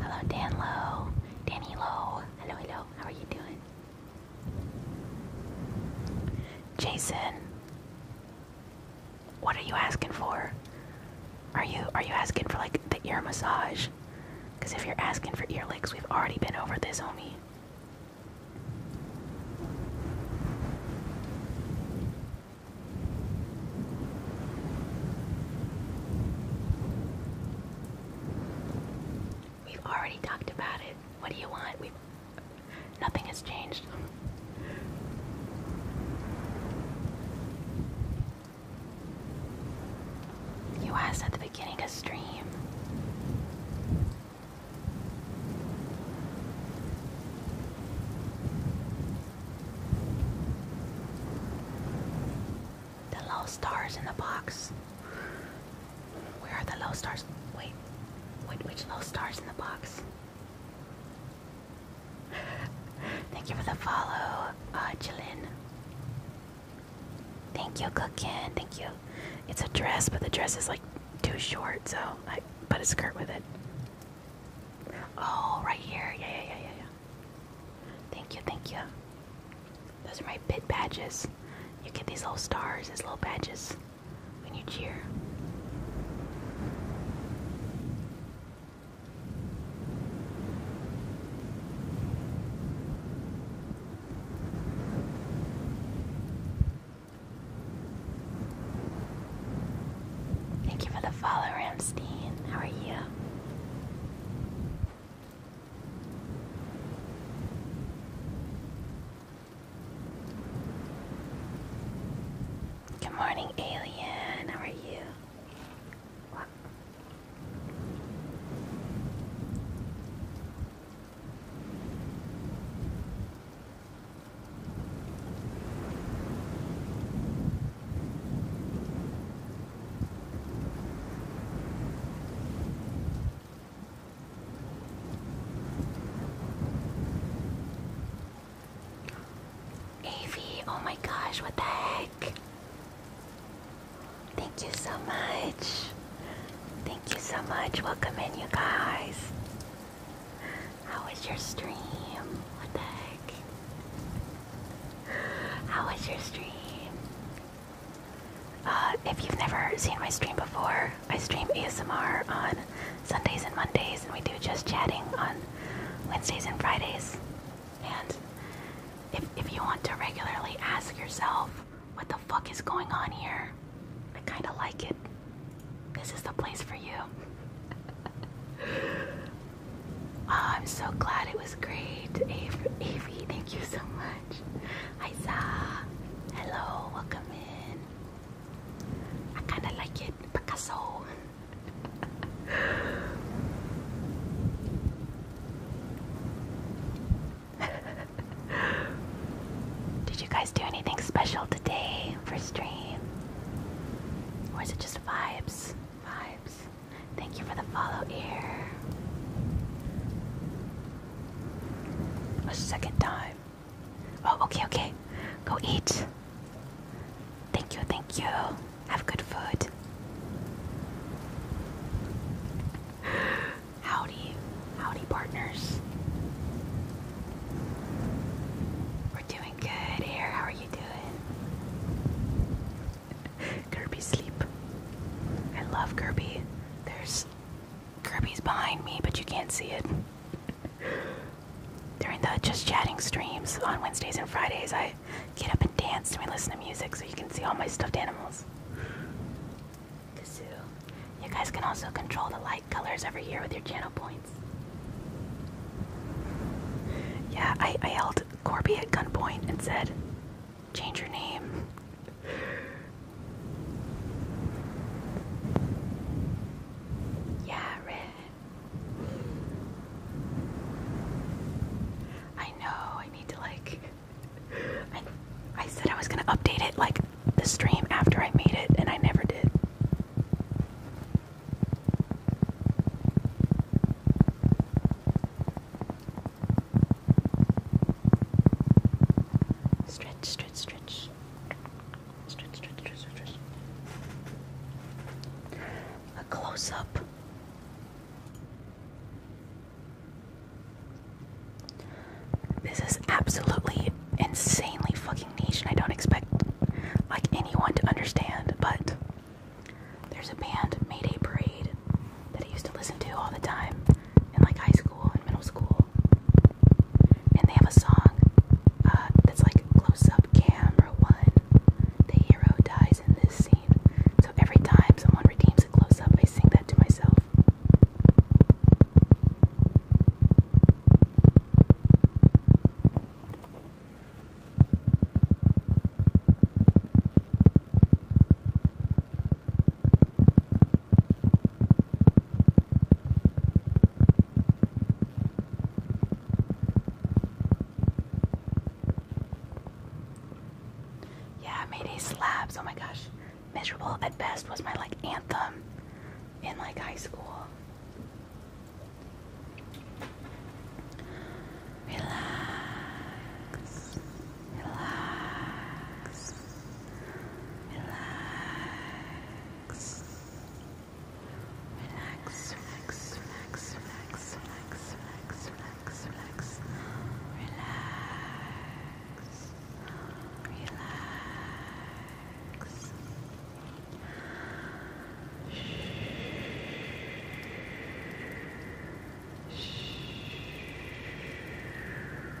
Hello, Dan Low. Danny Low. Hello, hello. How are you doing? Jason. What are you asking for? Are you are you asking for like the ear massage? Cause if you're asking for ear licks, we've already been over this, homie. We've already talked about it. What do you want? Nothing has changed. You asked at the beginning of stream. The low stars in the box. Where are the low stars? Wait, wait, which low stars in the box? [LAUGHS] Thank you for the follow, uh, Thank you, Cookin. Thank you. It's a dress, but the dress is like too short, so I put a skirt with it. Oh, right here. Yeah, yeah, yeah, yeah, yeah. Thank you, thank you. Those are my bid badges. You get these little stars these little badges when you cheer. Thank you for the follow, Ramstein. How are you? Good morning, alien. How are you? Avi, oh my gosh, what the heck? Thank you so much. Thank you so much. Welcome in, you guys. How was your stream? What the heck? How was your stream? Uh, if you've never seen my stream before, I stream ASMR on Sundays and Mondays, and we do just chatting on Wednesdays and Fridays. And if, if you want to regularly ask yourself, what the fuck is going on here? I kind of like it. This is the place for you. [LAUGHS] oh, I'm so glad it was great. Avery, thank you so much. Isa, hello, welcome in. I kind of like it, Picasso. [LAUGHS] Did you guys do anything special today for stream? Or is it just vibes? Vibes. Thank you for the follow ear. A second time. Oh, okay, okay. Go eat. Thank you, thank you. Have good food. [GASPS] Howdy, howdy, partners. We're doing good here. How are you doing? [LAUGHS] Kirby sleep. I love Kirby. There's Kirby's behind me, but you can't see it. During the just chatting streams on Wednesdays and Fridays, I get up and dance and me, listen to music, so you can see all my stuffed animals. The You guys can also control the light colors over here with your channel points. Yeah, I, I held Corby at gunpoint and said, change your name. Yeah, I know, I need to like. I said I was gonna update it like the stream after I made it, and I never did. Stretch, stretch, stretch. A close up. This is absolutely insanely fucking niche, and I don't expect like anyone to understand. But there's a band, Mayday Parade, that I used to listen to all the time in like high school and middle school. And they have a song uh, that's like close up camera one. The hero dies in this scene. So every time someone redeems a close up, I sing that to myself. Yeah, Mayday Slabs. Oh my gosh. Miserable at best was my like anthem in like high school. Relax. Relax. Relax. Relax, relax, relax, relax, relax, relax, relax, relax. Relax. Relax. Shh. Shh. Relax.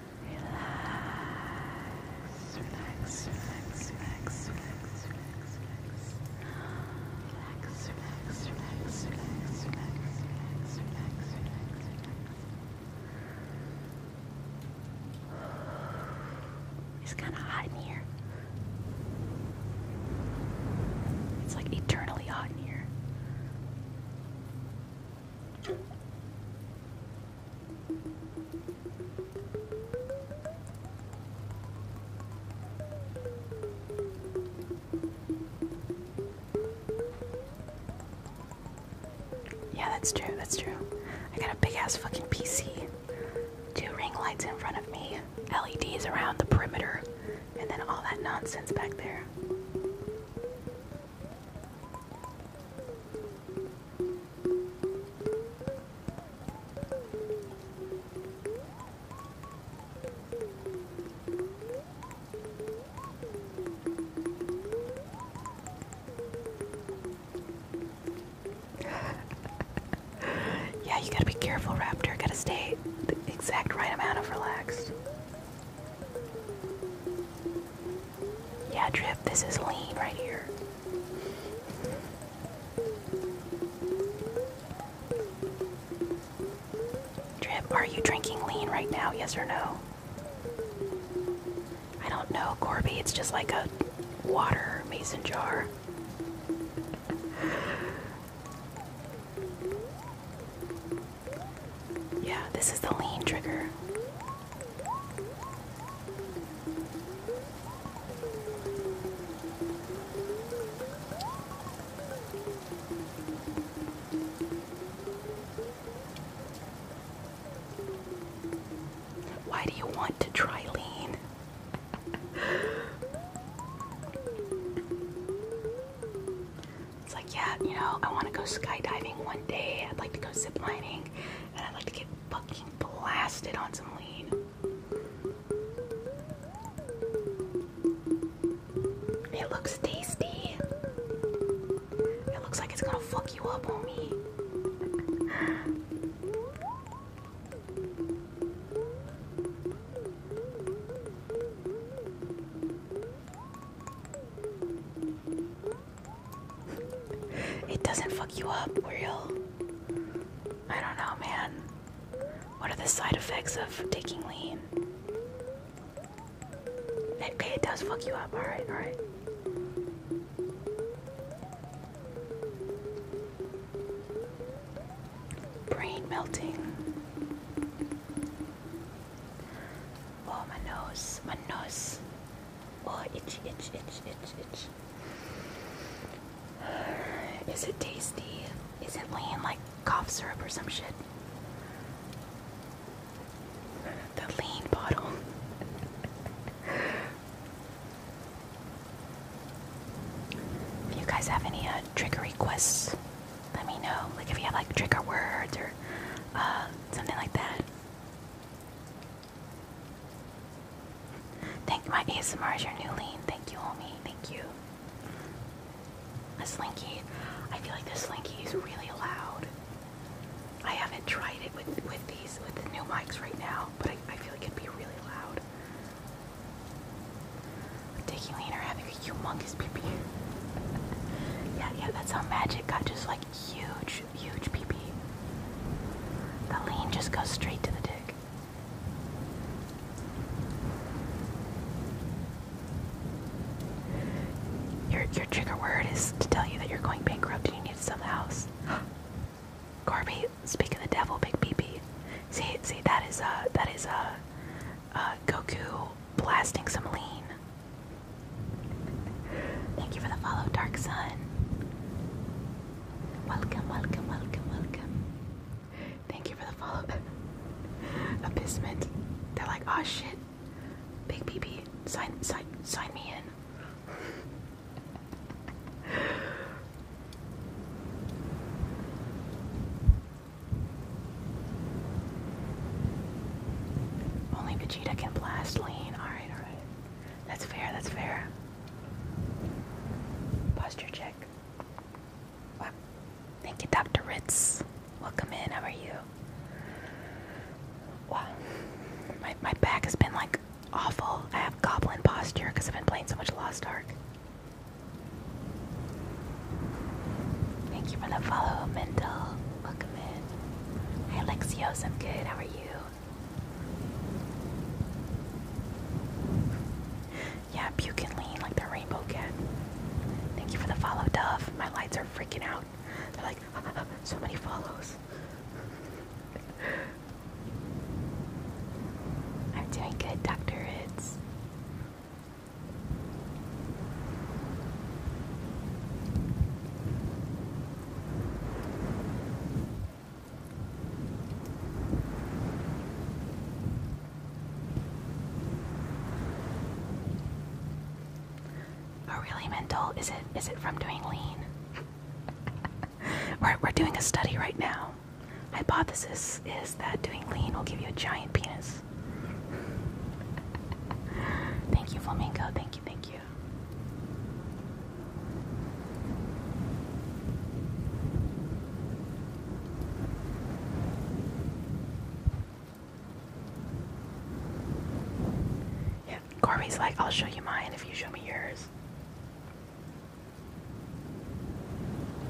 Relax, relax, relax, relax, relax, relax, relax. Relax, relax, relax, relax, relax, relax, relax, relax, relax. It's kind of hot in here. It's like eternally hot in here. Yeah, that's true, that's true. I got a big ass fucking PC. Two ring lights in front of me, LEDs around the perimeter, and then all that nonsense back there yeah, you gotta be careful, Raptor. Gotta stay the exact right amount of relaxed. Yeah, Drip, this is lean right here. Drip, are you drinking lean right now? Yes or no? I don't know, Corby. It's just like a water mason jar. Yeah, this is the lean trigger. Why do you want to try lean? yeah, you know, I want to go skydiving one day. I'd like to go ziplining, and I'd like to get fucking blasted on some lean. It looks tasty. It looks like it's gonna fuck you up, homie. It doesn't fuck you up, real. I don't know, man. What are the side effects of taking lean? Okay, it does fuck you up. Alright, alright. Brain melting. Oh, my nose. My nose. Oh, itch, itch, itch, itch, itch. Is it tasty? Is it lean like cough syrup or some shit? The lean bottle. [LAUGHS] if you guys have any uh, requests, let me know. Like if you have like trigger words or uh, something like that. Thank you, my ASMR is your new lean. Thank you, homie. Thank you. The slinky. I feel like the slinky is really loud. I haven't tried it with with these with the new mics right now, but I, I feel like it could be really loud. Dicky Leaner having a humongous pee pee. [LAUGHS] yeah, yeah, that's how magic got just like huge huge, huge The lean just goes straight to the dick. Your your trigger word is to tell you that you're going bankrupt and you need to sell the house. [GASPS] Corby, Speaking of the devil, big PP. See, see, that is a uh, that is uh, uh, Goku blasting some lean. Thank you for the follow, Dark Sun. Welcome, welcome, welcome, welcome. Thank you for the follow. [LAUGHS] Abysment. They're like, oh shit. Big BB, sign, sign, sign me in. [LAUGHS] Only Vegeta can blast lane. Alright, alright. That's fair, that's fair. Posture check. Thank you, Dr. Ritz. Welcome in, how are you? Wow. My, my back has been like awful. I have goblin posture because I've been playing so much Lost Ark. Thank you for the follow, Mental. Welcome in. Hi, Alexios. I'm good. How are you? Yeah, puke and lean like the rainbow cat. Thank you for the follow, Dove. My lights are freaking out. They're like, [LAUGHS] so many follows. [LAUGHS] I'm doing good, Dr. Ritz. Oh, really, mental? Is it? Is it from doing lean? [LAUGHS] we're we're doing a study right now. Hypothesis is that doing lean will give you a giant penis. [LAUGHS] thank you, flamingo. Thank you. Thank you you. Yeah, Corby's like, I'll show you mine if you show me yours.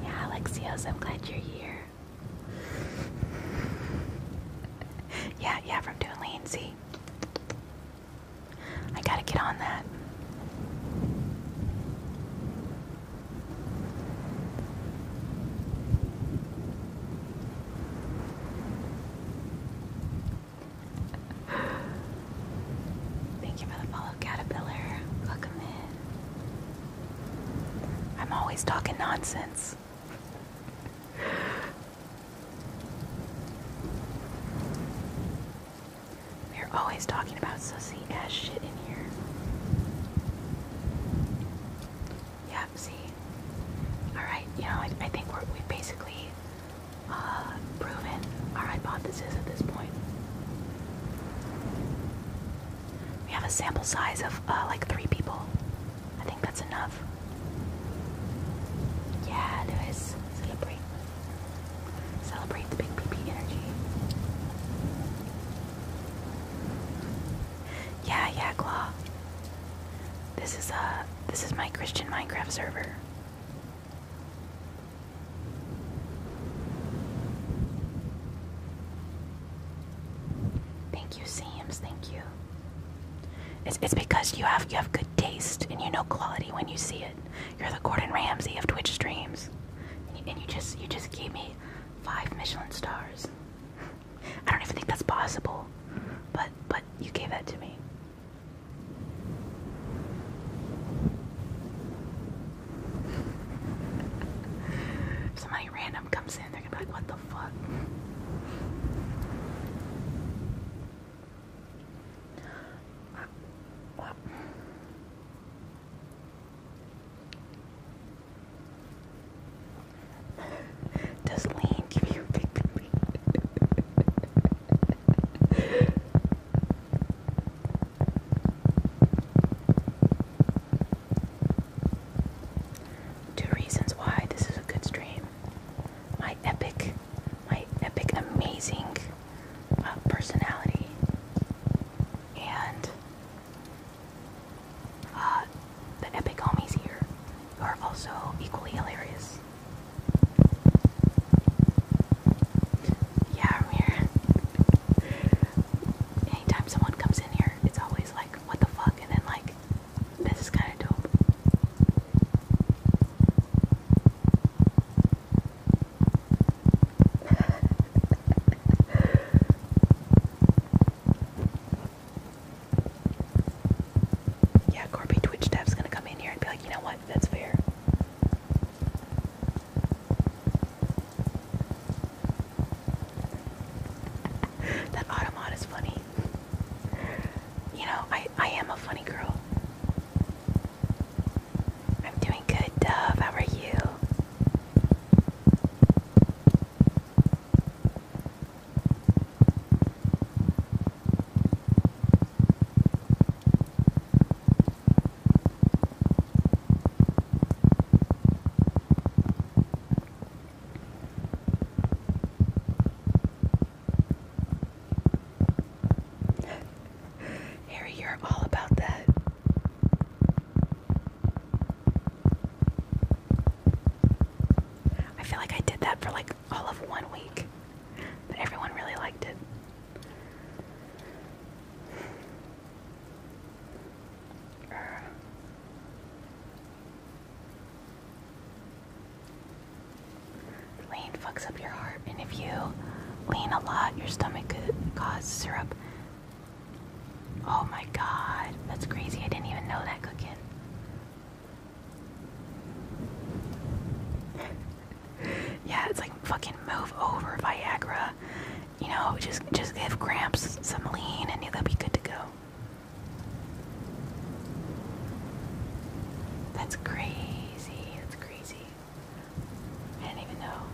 Yeah, Alexios, I'm glad you're here. [LAUGHS] yeah, yeah, from doing lean, see? I gotta get on that. Thank you for the follow, Caterpillar. Welcome in. I'm always talking nonsense. We're always talking about sussy ass shit in here. Yeah, see? Alright, you know, I, think we have basically uh, proven our hypothesis at this point. We have a sample size of uh, like three people. I think that's enough. Yeah, Lewis. Celebrate. Celebrate the big PP energy. Yeah, yeah, Claw. This is uh this is my Christian Minecraft server. Thank you, Sams. Thank you. It's, because you have you have good taste and you know quality when you see it. You're the Gordon Ramsay of Twitch streams, and you, just you just gave me five Michelin stars. I don't even think that's possible, but but you gave that to me. [LAUGHS] somebody random comes in, they're gonna be like, "What the fuck." [LAUGHS] Does Lane give you big baby? [LAUGHS] Two reasons why this is a good stream. My epic my epic, amazing uh, personality. And uh, the epic homies here are also equally hilarious. Yeah, I'm here. Anytime someone comes in here, it's always like, what the fuck? And then, like, this is kind of dope yeah, Corby Twitch dev's gonna come in here and be like, you know what? That's fair. [LAUGHS] that automat is funny you know, I, I am a funny girl. I'm doing good, Dove. How are you? Harry, you're all about that. I feel like I did that for like all of one week, but everyone really liked it. Lean fucks up your heart, and if you lean a lot, your stomach could cause syrup. Oh my god, that's crazy. I didn't even know that cooking. [LAUGHS] yeah, it's like fucking move over Viagra. You know, just just give Gramps some lean and they'll be good to go. That's great. It's crazy. I didn't even know.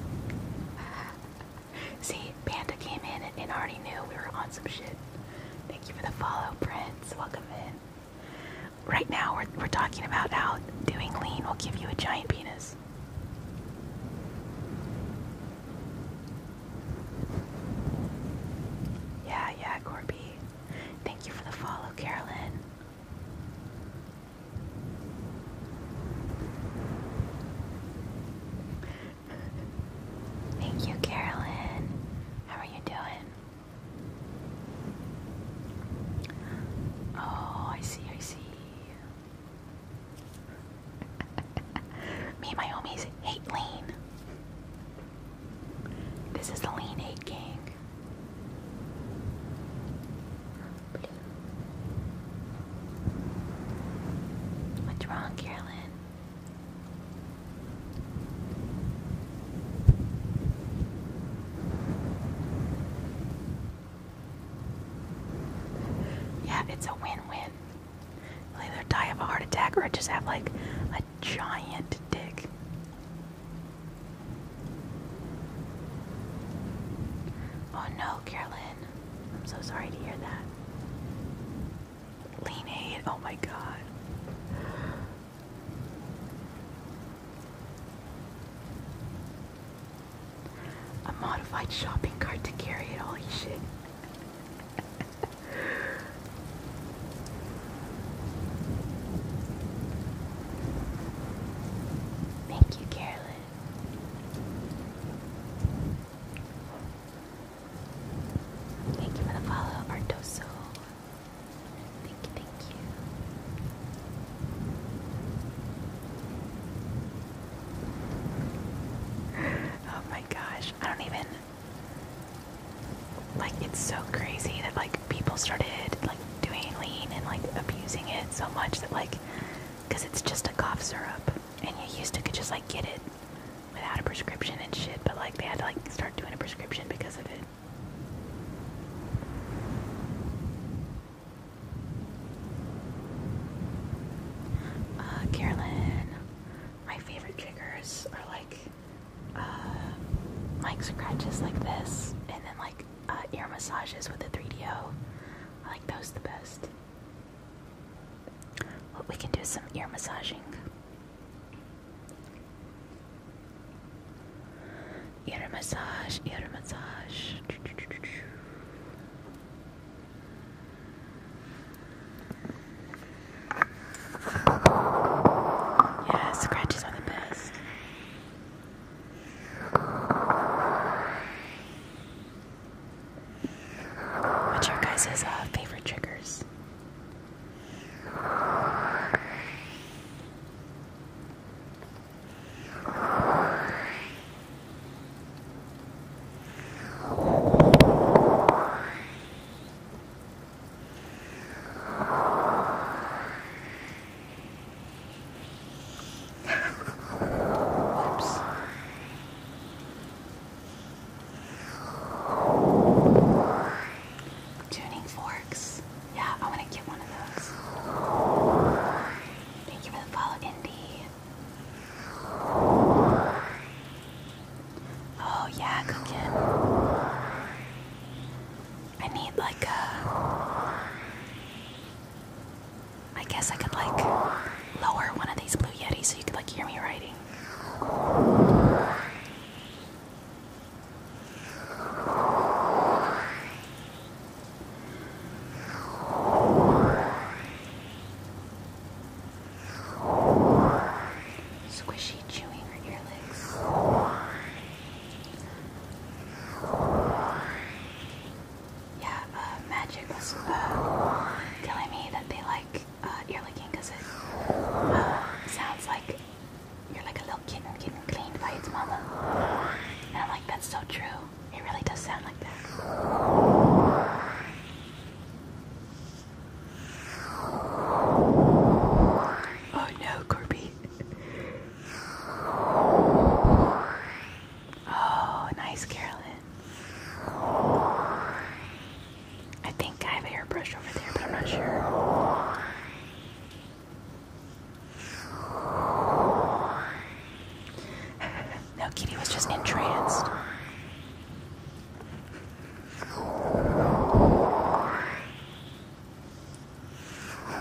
[LAUGHS] See, Panda came in and, and already knew we were on some shit. Thank you for the follow, Prince. Welcome in. Right now, we're, we're talking about how doing lean will give you a giant penis. Yeah, yeah, Corby. Thank you for the follow, Carolyn. Thank you, Carolyn. How are you doing? Oh, I see, I see. [LAUGHS] Me and my homies hate lean. This is the Lean 8 gang. What's wrong, Carolyn? Yeah, it's a win-win. either die of a heart attack or just have like giant dick. Oh no, Carolyn. I'm so sorry to hear that. Lean 8, oh my god. A modified shopping cart to carry it, holy shit. [LAUGHS] Thank you, Carolyn. Thank you for the follow, Artoso. Thank you, thank you. Oh my gosh, I don't even like it's so crazy that like people started like doing lean and like abusing it so much that like because it's just a cough syrup and you used to could just like get it without a prescription and shit but like they had to like start doing a prescription because of it uh, Carolyn my favorite triggers are like uh, like scratches like this, and then like uh, ear massages with the 3 O. I like those the best. Well, we can do some ear massaging. Ear massage, ear massage. Yeah, scratches are the best. What's your guys' uh, favorite triggers? Tuning forks. Yeah, I want to get one of those. Thank you for the follow, Indy. Oh yeah, cooking. I need like a. I guess I could like lower one of these blue yetis so you could like hear me writing. Squishy chewing her earlobes? Yeah, uh, Magic uh, telling me that they like uh, ear licking it sounds like you're like a little kitten getting cleaned by its mama. And I'm like, that's so true. It really does sound like that. Oh no, Corby. Oh, nice, Carolyn. I think I have a hairbrush over there, but I'm not sure. [LAUGHS] no, Kitty was just entranced. I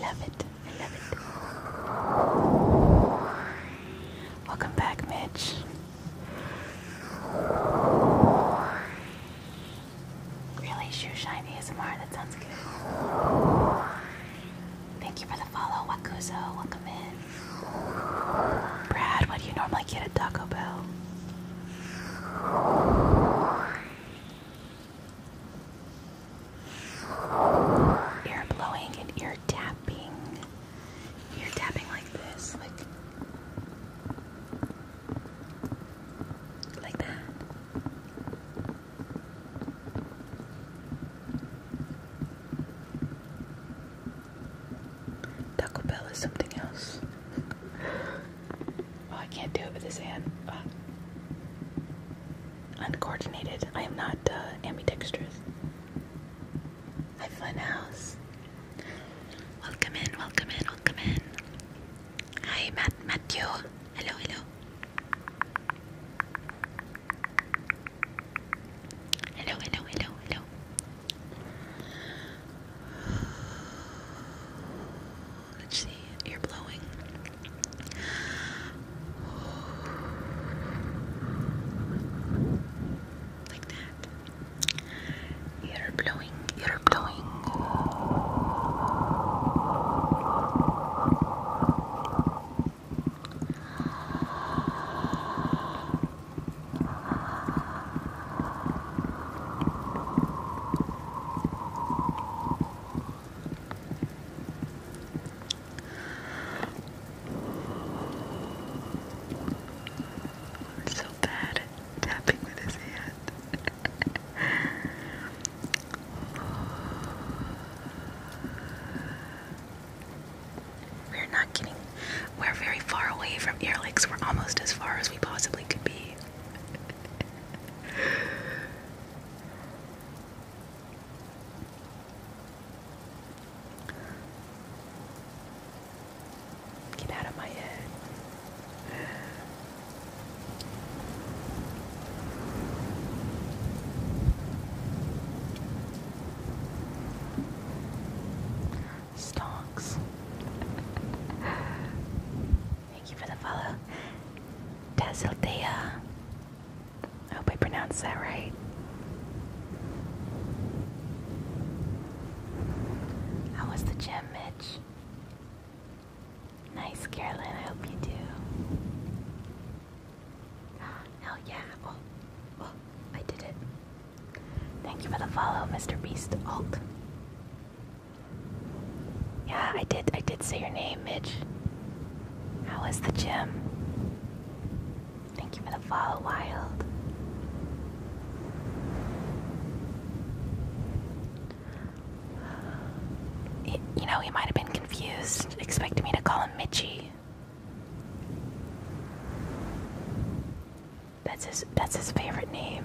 love it. I love it. Welcome back, Mitch. Really, shoe shine ASMR. That sounds good. Thank you for the follow, Wakuzo. Welcome in. Brad, what do you normally get at Taco Bell? Ear blowing and ear tapping. Ear tapping like this, like like that. Taco Bell is something else. oh, [LAUGHS] I can't do it with this hand. Uh, I am not uh, ambidextrous. Hi, Funhouse. Welcome in, welcome in, welcome in. Hi, Matt Matthew. Hello, hello. Hello, hello, hello, hello. Let's see, you're blowing. Like that. You're blowing, you're blowing. I'm so bad at tapping with his hand. [LAUGHS] We're not getting, we're very far away from ear licks. We're almost as far as we possibly could be. Get out of my head. Stonks. Thank you for the follow. Tazildea. I hope I pronounced that right. How was the gym, Mitch? Nice, Carolyn. I hope you do. [GASPS] Hell yeah. Oh, oh, I did it. Thank you for the follow, Mr. Beast Alt. Yeah, I did. I did say your name, Mitch. How was the gym? Thank you for the follow, Wild you know, he might have been confused, expecting me to call him Mitchie. That's his that's his favorite name.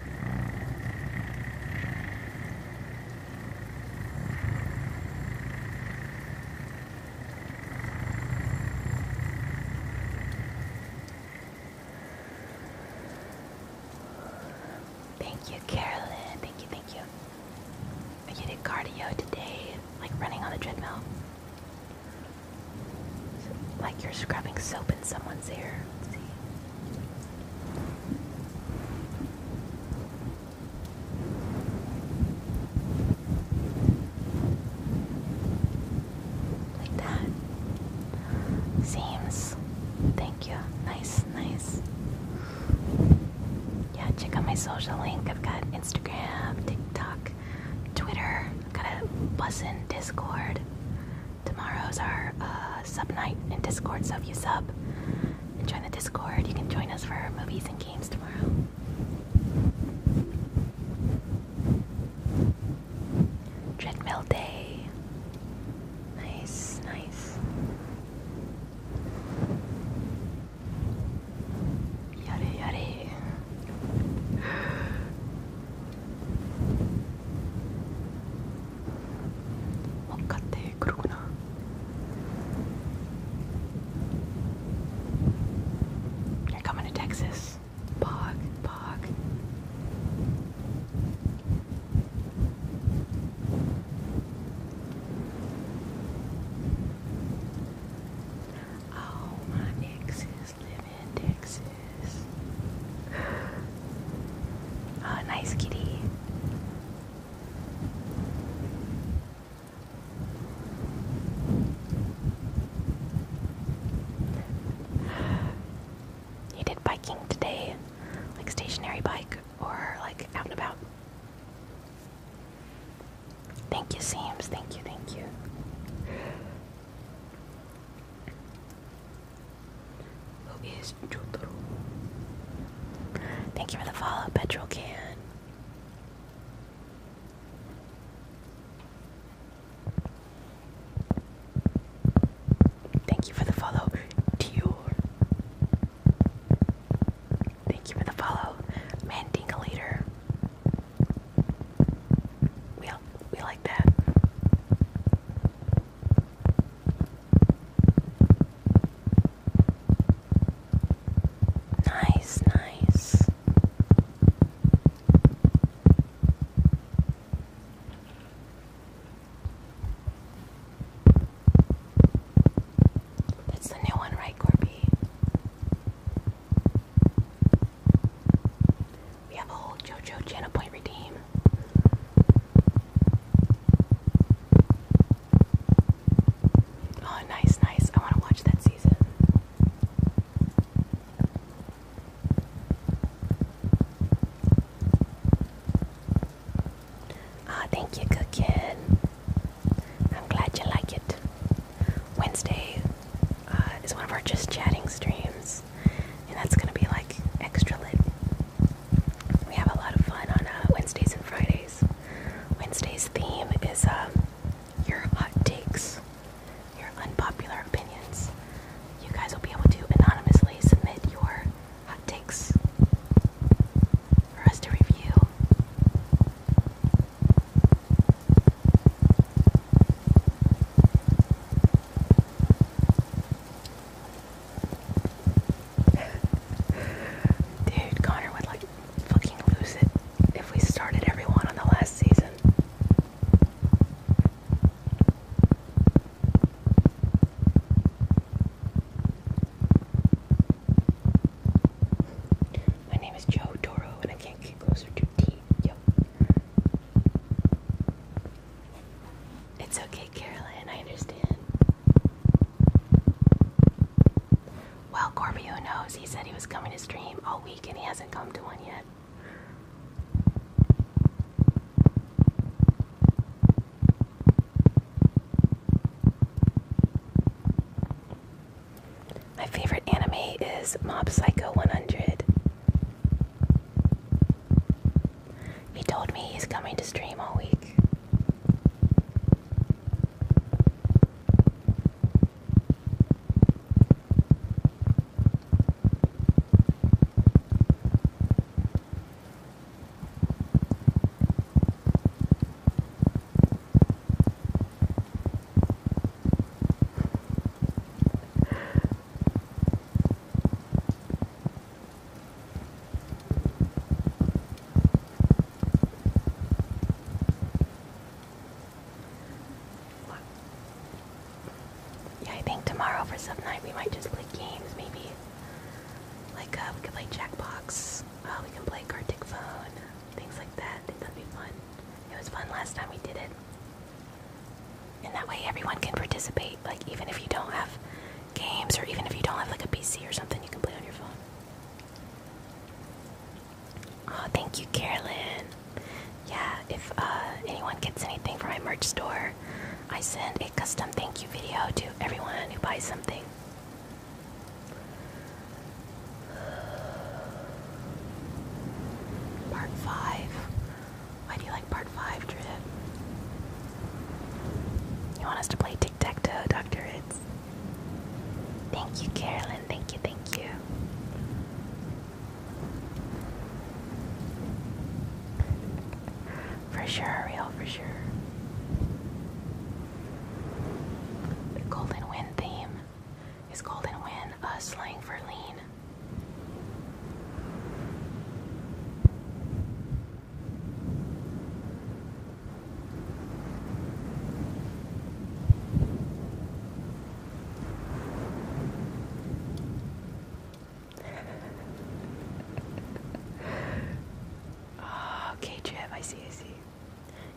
Thank you, Carolyn. Thank you, thank you. You did cardio today, like running on the treadmill. Like you're scrubbing soap in someone's ear. Like that. Seems. Thank you. Nice, nice. Yeah, check out my social link. I've got Instagram, TikTok, Twitter. I've got a bus Discord. Tomorrow's our uh, sub night in Discord, so if you sub and join the Discord, you can join us for movies and games tomorrow. Treadmill day. Nice, nice. Yare yare. 헛같대 그러구나 You're coming to Texas Bog, bog Oh, my ex is in Texas Oh, nice kitty. You did biking today, like stationary bike or like out and about. Thank you, Seams. Thank you, thank you who is Jotaro. Thank you for the follow, Petrol Can. Thank you for the follow, Dior. Thank you for the follow, Mandinga Leader. We, we like that. Nice, nice. That's the new one, right, Corby? We have a whole JoJo Jana Point redeem. Oh, nice, nice. I want to watch that season. Ah, oh, thank you, Good Kid. I'm glad you like it. Wednesday uh, is one of our just chatting streams, and that's gonna be like extra lit we have a lot of fun on uh, Wednesdays and Fridays. Wednesday's theme is um, your hot takes, your unpopular opinions. You guys will be able to anonymously submit your hot takes for us to review. Dude, Connor would like fucking lose it if we started everyone on the last season. My name is Joe Toro and I can't get closer to T. It's okay, Carolyn, I understand. Well, Corby, who knows? He said he was coming to stream all week and he hasn't come to one yet. My favorite anime is Mob Psycho 100. He told me he's coming to stream all week. Yeah, I think tomorrow for some night we might just play games, maybe. Like, uh, we could play Jackbox, uh, we can play Gartic Phone, things like that. I think that'd be fun. It was fun last time we did it. And that way everyone can participate. Like, even if you don't have games, or even if you don't have like a PC or something, you can play on your phone. Oh, thank you, Carolyn. Yeah, if uh, anyone gets anything from my merch store, I send a custom thank you video to everyone who buys something. Part 5. Why do you like part five trip. You want us to play tic tac toe, Dr. Ritz? Thank you, Carolyn. Thank you, thank you. For sure, Ariel. for sure. The Golden Wind theme is Golden Wind, uh, slang for lean. Oh, okay, Jim, I see, I see.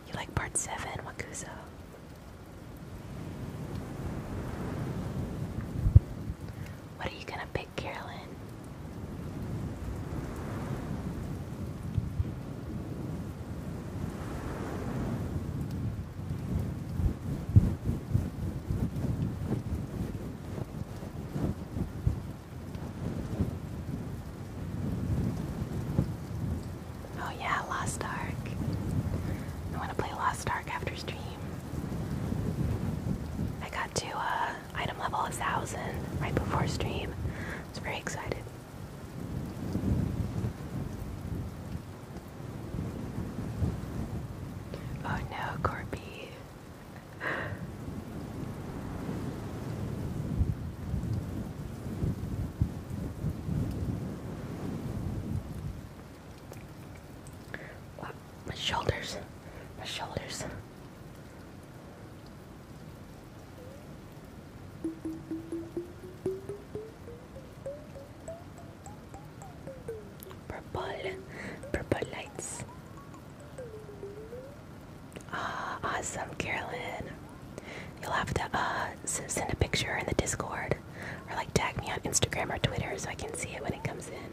You like part seven, Wakuso. What are you gonna pick? Carolyn. Oh yeah, Lost Ark. I want to play Lost Ark after stream. I got to uh, item level 1000 right before stream. I am very excited. Oh no, Corby. My shoulders. My shoulders. Purple. Purple lights. Ah, awesome, Carolyn. You'll have to uh, send a picture in the Discord or like tag me on Instagram or Twitter so I can see it when it comes in.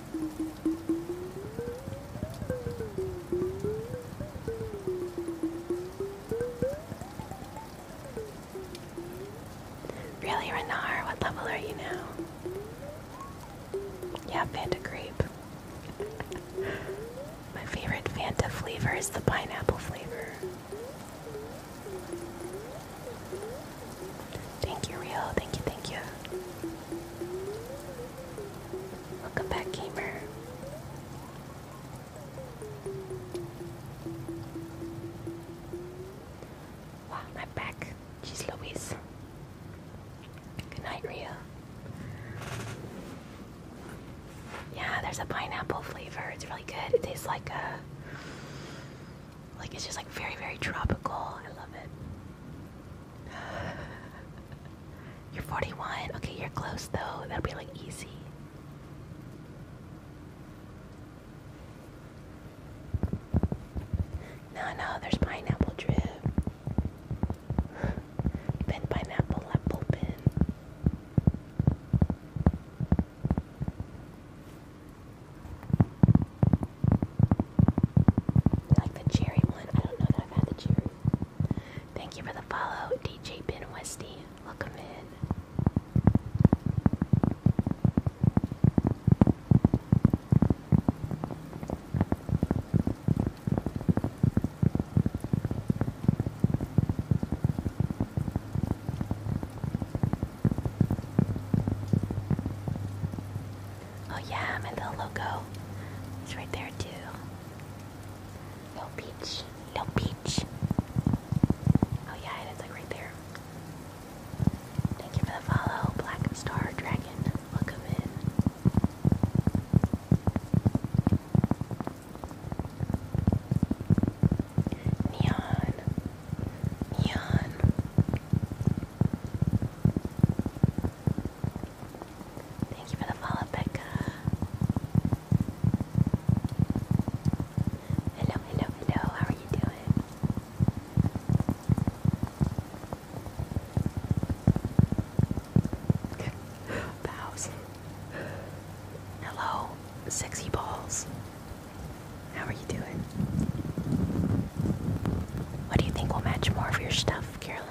Really, Renar? What level are you now? Yeah, Fanta Grape. My favorite Fanta flavor is the pineapple flavor. Thank you, Real. Thank you, thank you. Welcome back, gamer. Wow, I'm back. She's Louise. Good night, Ria. Yeah, there's a pineapple flavor. It's really good. It tastes like a like it's just like very very tropical. I love it. [SIGHS] you're 41. Okay, you're close though. That'll be like easy. No, no, there's pineapple drip. [SIGHS] Pin pineapple apple pin. Like the cherry one. I don't know that I've had the cherry. Thank you for the follow, DJ Ben Westy. Welcome in. Oh yeah, my little logo. It's right there too. Little peach. Little peach. Oh yeah, and it's like right there. Thank you for the follow, Black Star Dragon. Welcome in. Neon. Neon. Thank you for the follow, Becca. Hello, hello, hello. How are you doing? Bows. [LAUGHS] Hello, sexy balls. How are you doing? What do you think will match more of your stuff, Carolyn?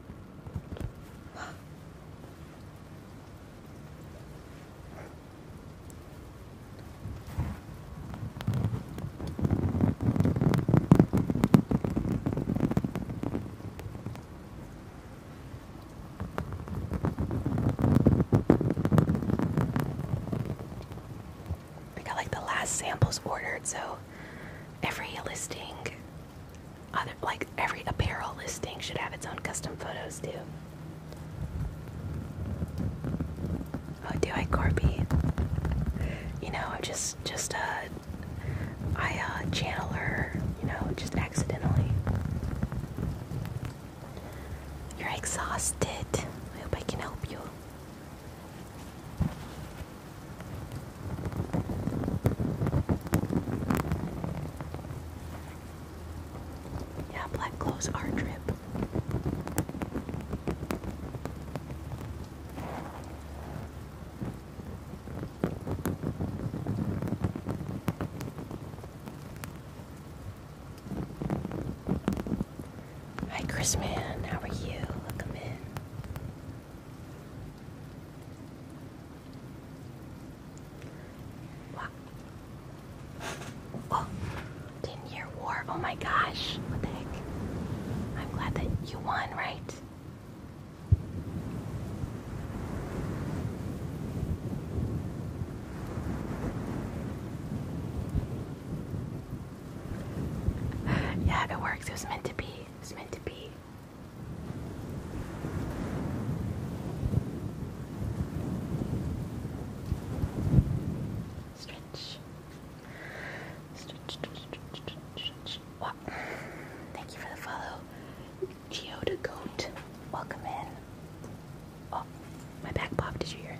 I got like the last samples ordered, so every listing other, like every apparel listing should have its own custom photos too. Oh, do I, Corby? You know, just, just uh, I uh, channel You know, just accidentally. You're exhausted. I hope I can help you. Yeah, black clothes are drip. Hi, Chris How are you? Welcome in. Wow. Oh, year war. Oh my gosh. What the heck? I'm glad that you won, right? [SIGHS] yeah, it works. It was meant to be. It was meant to be. Stretch. Stretch, stretch, stretch, stretch. Wow. Thank you for the follow. Geoda Goat, welcome in. Oh, my back popped. Did you hear it?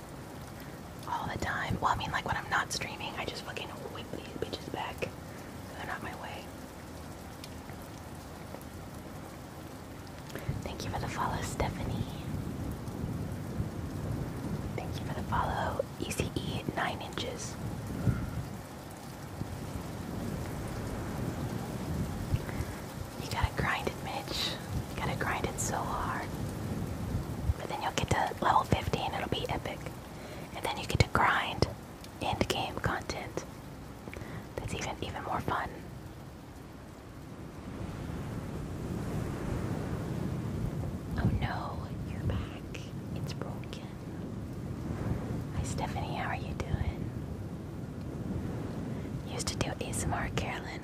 all the time. Well, I mean, like when I'm not streaming, I just fucking whip these bitches back they're not my way. Thank you for the follow, Stephanie. Thank you for the follow, ECE 9 inches. You gotta grind it, Mitch. You gotta grind it so hard and then you'll get to level 15, it'll be epic. And then you get to grind end game content. That's even even more fun. Oh no, you're back. It's broken. Hi Stephanie, how are you doing? Used to do ASMR Carolyn.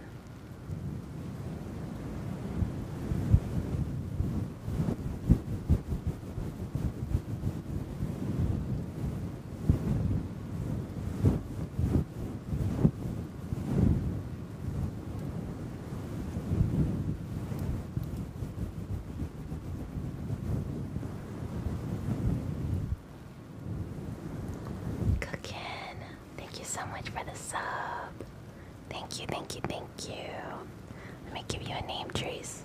Cookin, thank you so much for the sub. Thank you, thank you, thank you. Let me give you a name, Trace.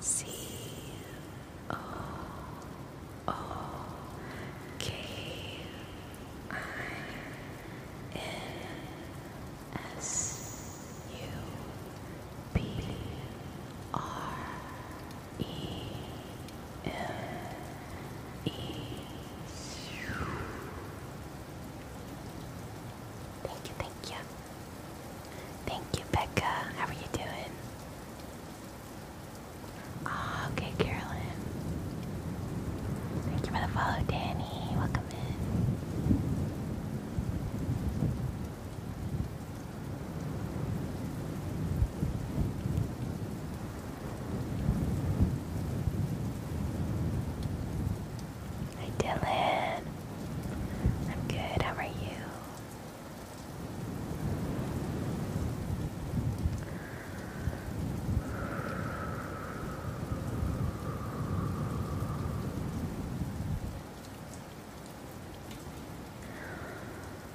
C O O K I N S U B R E Thank you, thank you. Thank you, Becca. How are you doing? Oh, okay, Carolyn. Thank you for the follow, Danny. Welcome in. Hi Dylan. I'm good, how are you?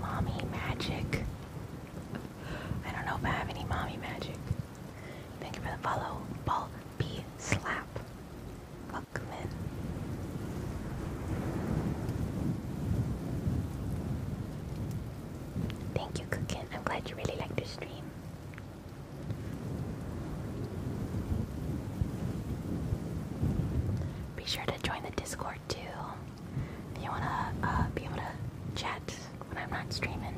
Mommy magic. I don't know if I have any mommy magic. Thank you for the follow. Ball B slap. Welcome Thank you, Cookin. I'm glad you really like the stream. Be sure to join the Discord too if you wanna uh, be able to chat when I'm not streaming.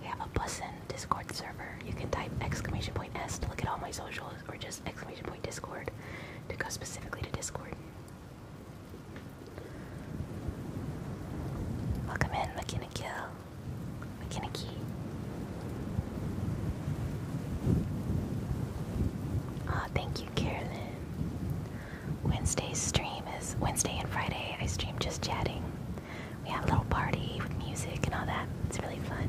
We have a bussin Discord server. You can type exclamation point S to look at all my socials, or just exclamation point Discord to go specifically to Discord. Welcome in, Makinaki. Makinaki. Ah, thank you, Carolyn. Wednesday's stream is Wednesday and Friday. I stream just chatting. We have a little party with music and all that. It's really fun.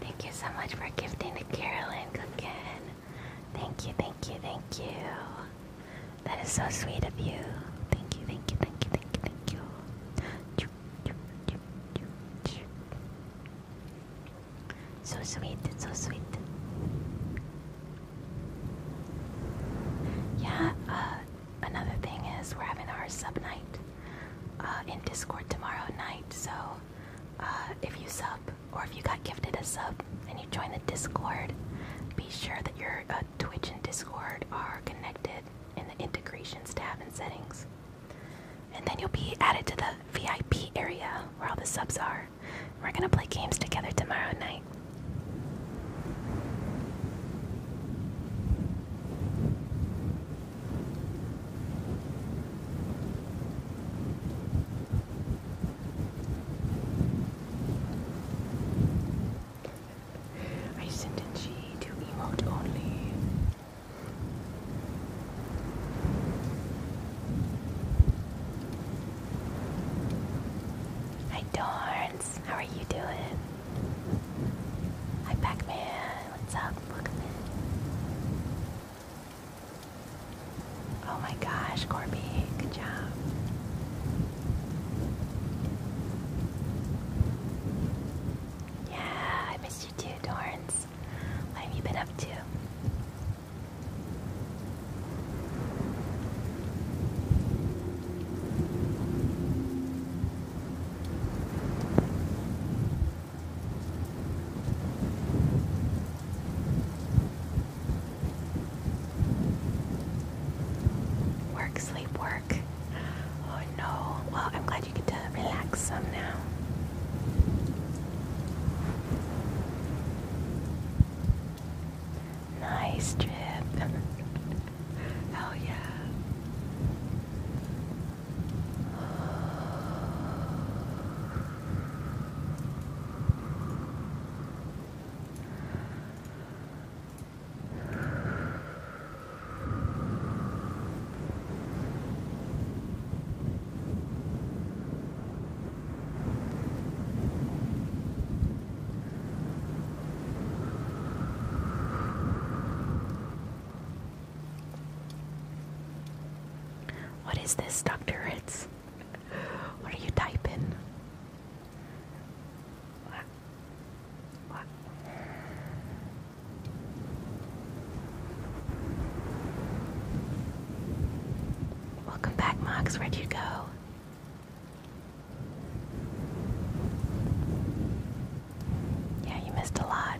Thank you so much for gifting to Carolyn Cookin. Thank you, thank you, thank you. That is so sweet of you. Thank you, thank you, thank you, thank you, thank you. So sweet, so sweet. Yeah, uh, another thing is we're having our sub night uh, in Discord tomorrow night. So uh, if you sub or if you got gifted a sub and you join the Discord, be sure that your uh, Twitch and Discord are connected in the integrations tab and settings. And then you'll be added to the VIP area where all the subs are. We're gonna play games together tomorrow night. I sent a G to emote only. Hi Dorns, how are you doing? Hi Pac-Man, what's up? Oh my gosh, Corby, good job. Yeah, I missed you too, Dorns. What have you been up to? Work, sleep, work. Oh no. Well, I'm glad you get to relax some now. Nice trip. [LAUGHS] Hell yeah. What is this, Dr. It's. What are you typing? Welcome back, Mox. Where'd you go? Yeah, you missed a lot.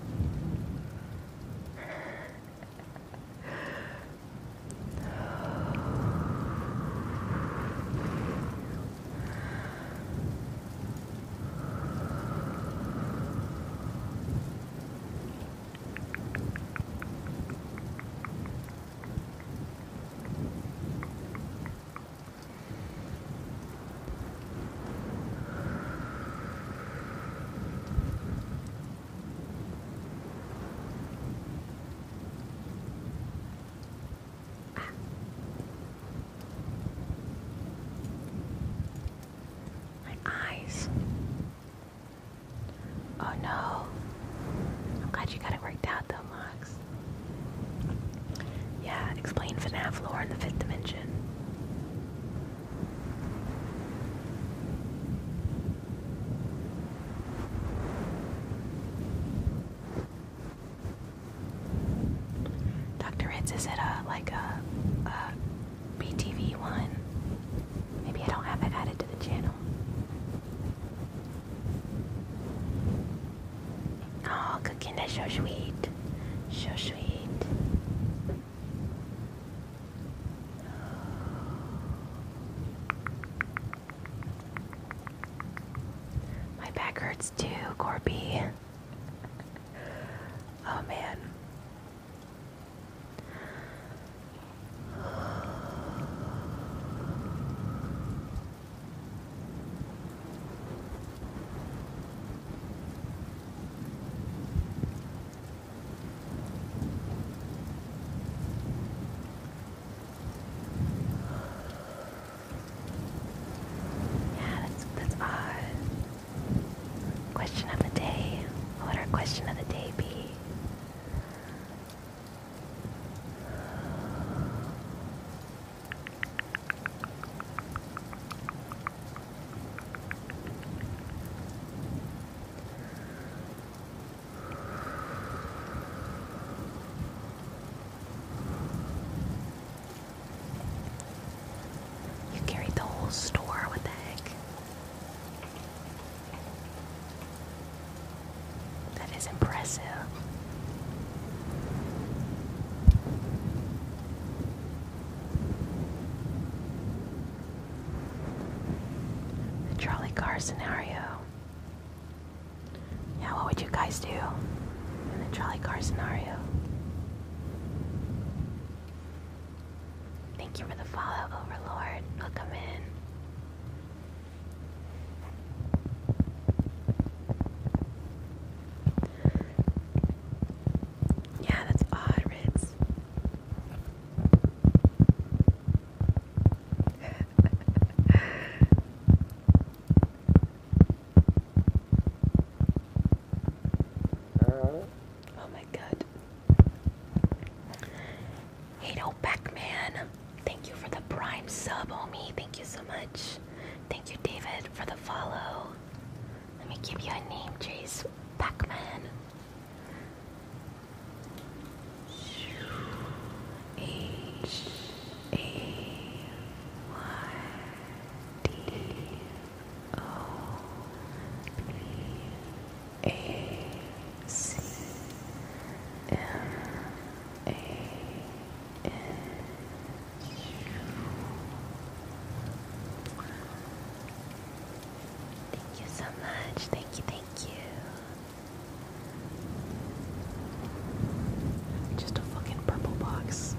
My eyes. Oh no. I'm glad you got it worked out though, Max. Yeah, explain FNAF lore in the fifth dimension. Dr. Ritz, is it a like a, a BTV one? Maybe I don't have it added to the channel. Oh, cooking is so sweet. So sweet. My back hurts too, Corby. oh man. Yeah, that's that's odd. Question of the day. What would our question of the day be? You carried the whole store, what the heck? That is impressive. The trolley car scenario. Yeah, what would you guys do in the trolley car scenario? Thank you for the follow, Overlord. Welcome in. Yeah, that's odd, oh my god. Hado Beckman, thank you for the prime sub, homie. Thank you so much. Thank you, David, for the follow. Let me give you a name, Chase. Pac-Man. H A Y D O B A Thank you so much. Thank you, thank you. Just a fucking purple box.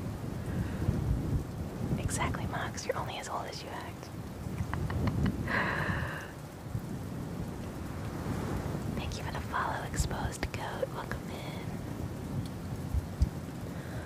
Exactly, Max. You're only as old as you act. Thank you for the follow, Exposed Goat. Welcome in.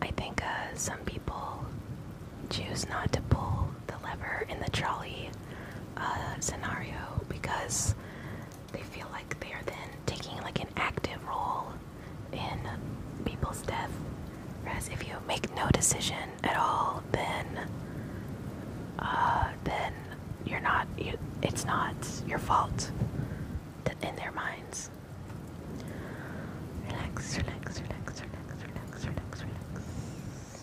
I think uh, some people choose not to pull the lever in the trolley uh, scenario because they feel like they are then taking like an active role in people's death. Whereas if you make no decision at all, then uh, then you're not. it's not your fault. In their minds. Relax, relax, relax, relax, relax, relax, relax.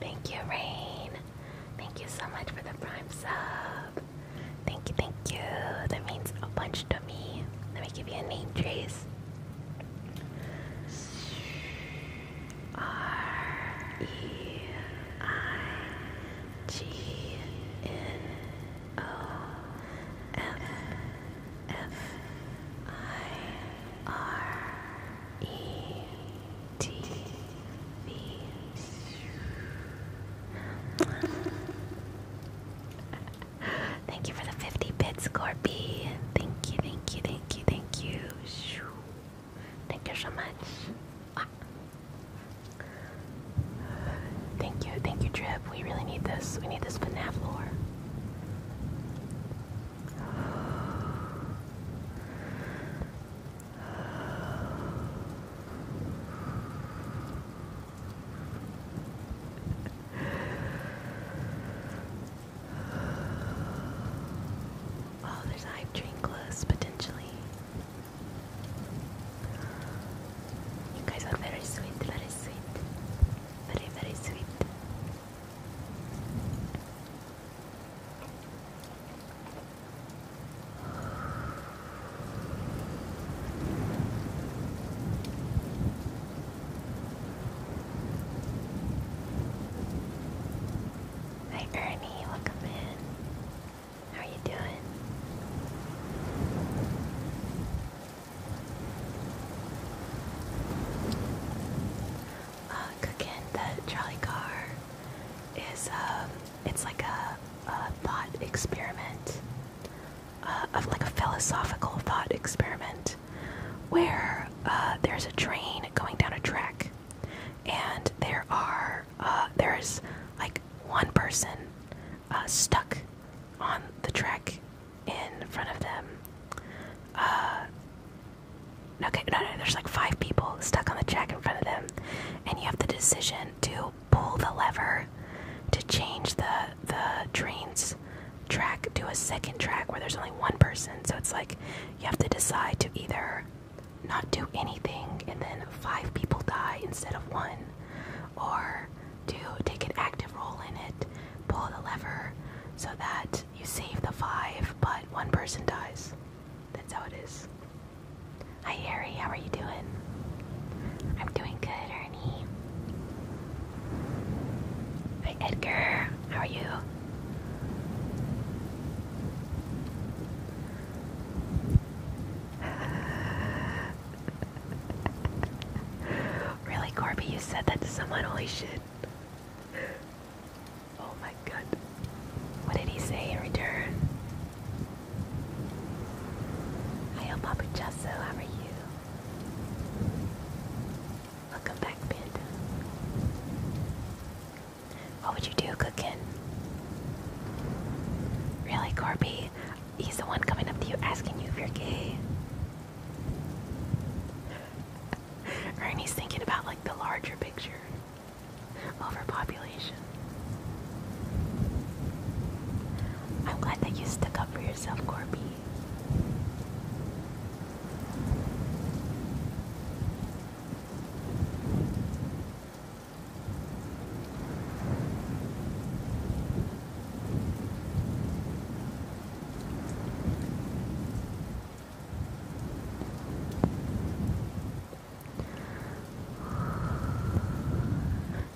Thank you, Rain. Thank you so much for the prime sub. Thank you, thank you. That means a bunch to me. Let me give you a name, Trace. R E I G N O M F I R E T V thank you for the 50 bits, Corby. Thank you, thank you, thank you, thank you. Thank you so much. Thank you, thank you, Drip. We really need this. We need this FNAF lore. Oh, there's hype train close potentially. You guys are very sweet, very sweet. Very, very sweet. Hi Ernie, welcome in. How are you doing? Uh, cooking the trolley car is um, it's like a, thought experiment, uh, of like a philosophical thought experiment where uh, there's a train going down a track, and there are uh, there's like one person uh, stuck on the track in front of them. okay, no, no, there's like five people stuck on the track in front of them, and you have the decision to pull the lever to change the the train's track to a second track where there's only one person. So it's like you have to decide to either not do anything and then five people die instead of one, or to take an active role in it, pull the lever so that you save the five but one person dies. That's how it is. Hi, Harry. How are you doing? I'm doing good, Hi, Edgar. How are you? [LAUGHS] really, Corby, you said that to someone? Holy shit. Oh my god. What did he say in return? Hiya, Papa Jasso. How are you? Welcome back, Panda. What would you do, Cookin? Really, Corby? He's the one coming up to you asking you if you're gay. [LAUGHS] Ernie's thinking about like the larger picture. Overpopulation. I'm glad that you stuck up for yourself, Corby.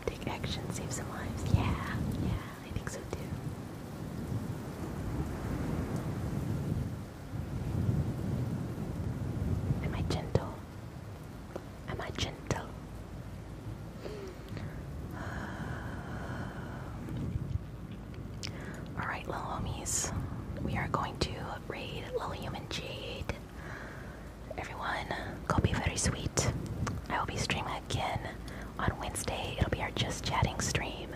Take action, save some lives. Yeah, yeah. I think so too. Am I gentle? Am I gentle? [SIGHS] Alright, little homies. We are going to raid Lilium and Jade. Everyone, go be very sweet. I will be streaming again on Wednesday. It'll be our just chatting stream.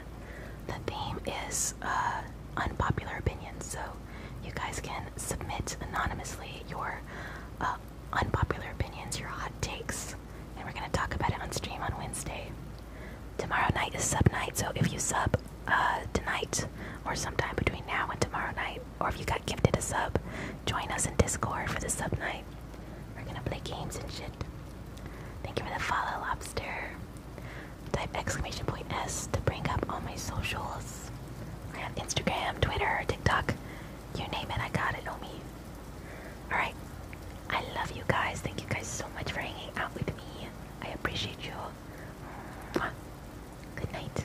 The theme is uh, unpopular opinions, so you guys can submit anonymously your uh, unpopular opinions, your hot takes, and we're gonna talk about it on stream on Wednesday. Tomorrow night is sub night, so if you sub uh, tonight or sometime between now and tomorrow night, or if you got gifted a sub, join us in Discord for the sub night. We're gonna play games and shit. Thank you for the follow, Lobster. Type exclamation point S to bring up all my socials. I have Instagram, Twitter, TikTok. You name it, I got it, homie. Alright. I love you guys. Thank you guys so much for hanging out with me. I appreciate you. Mwah. Good night.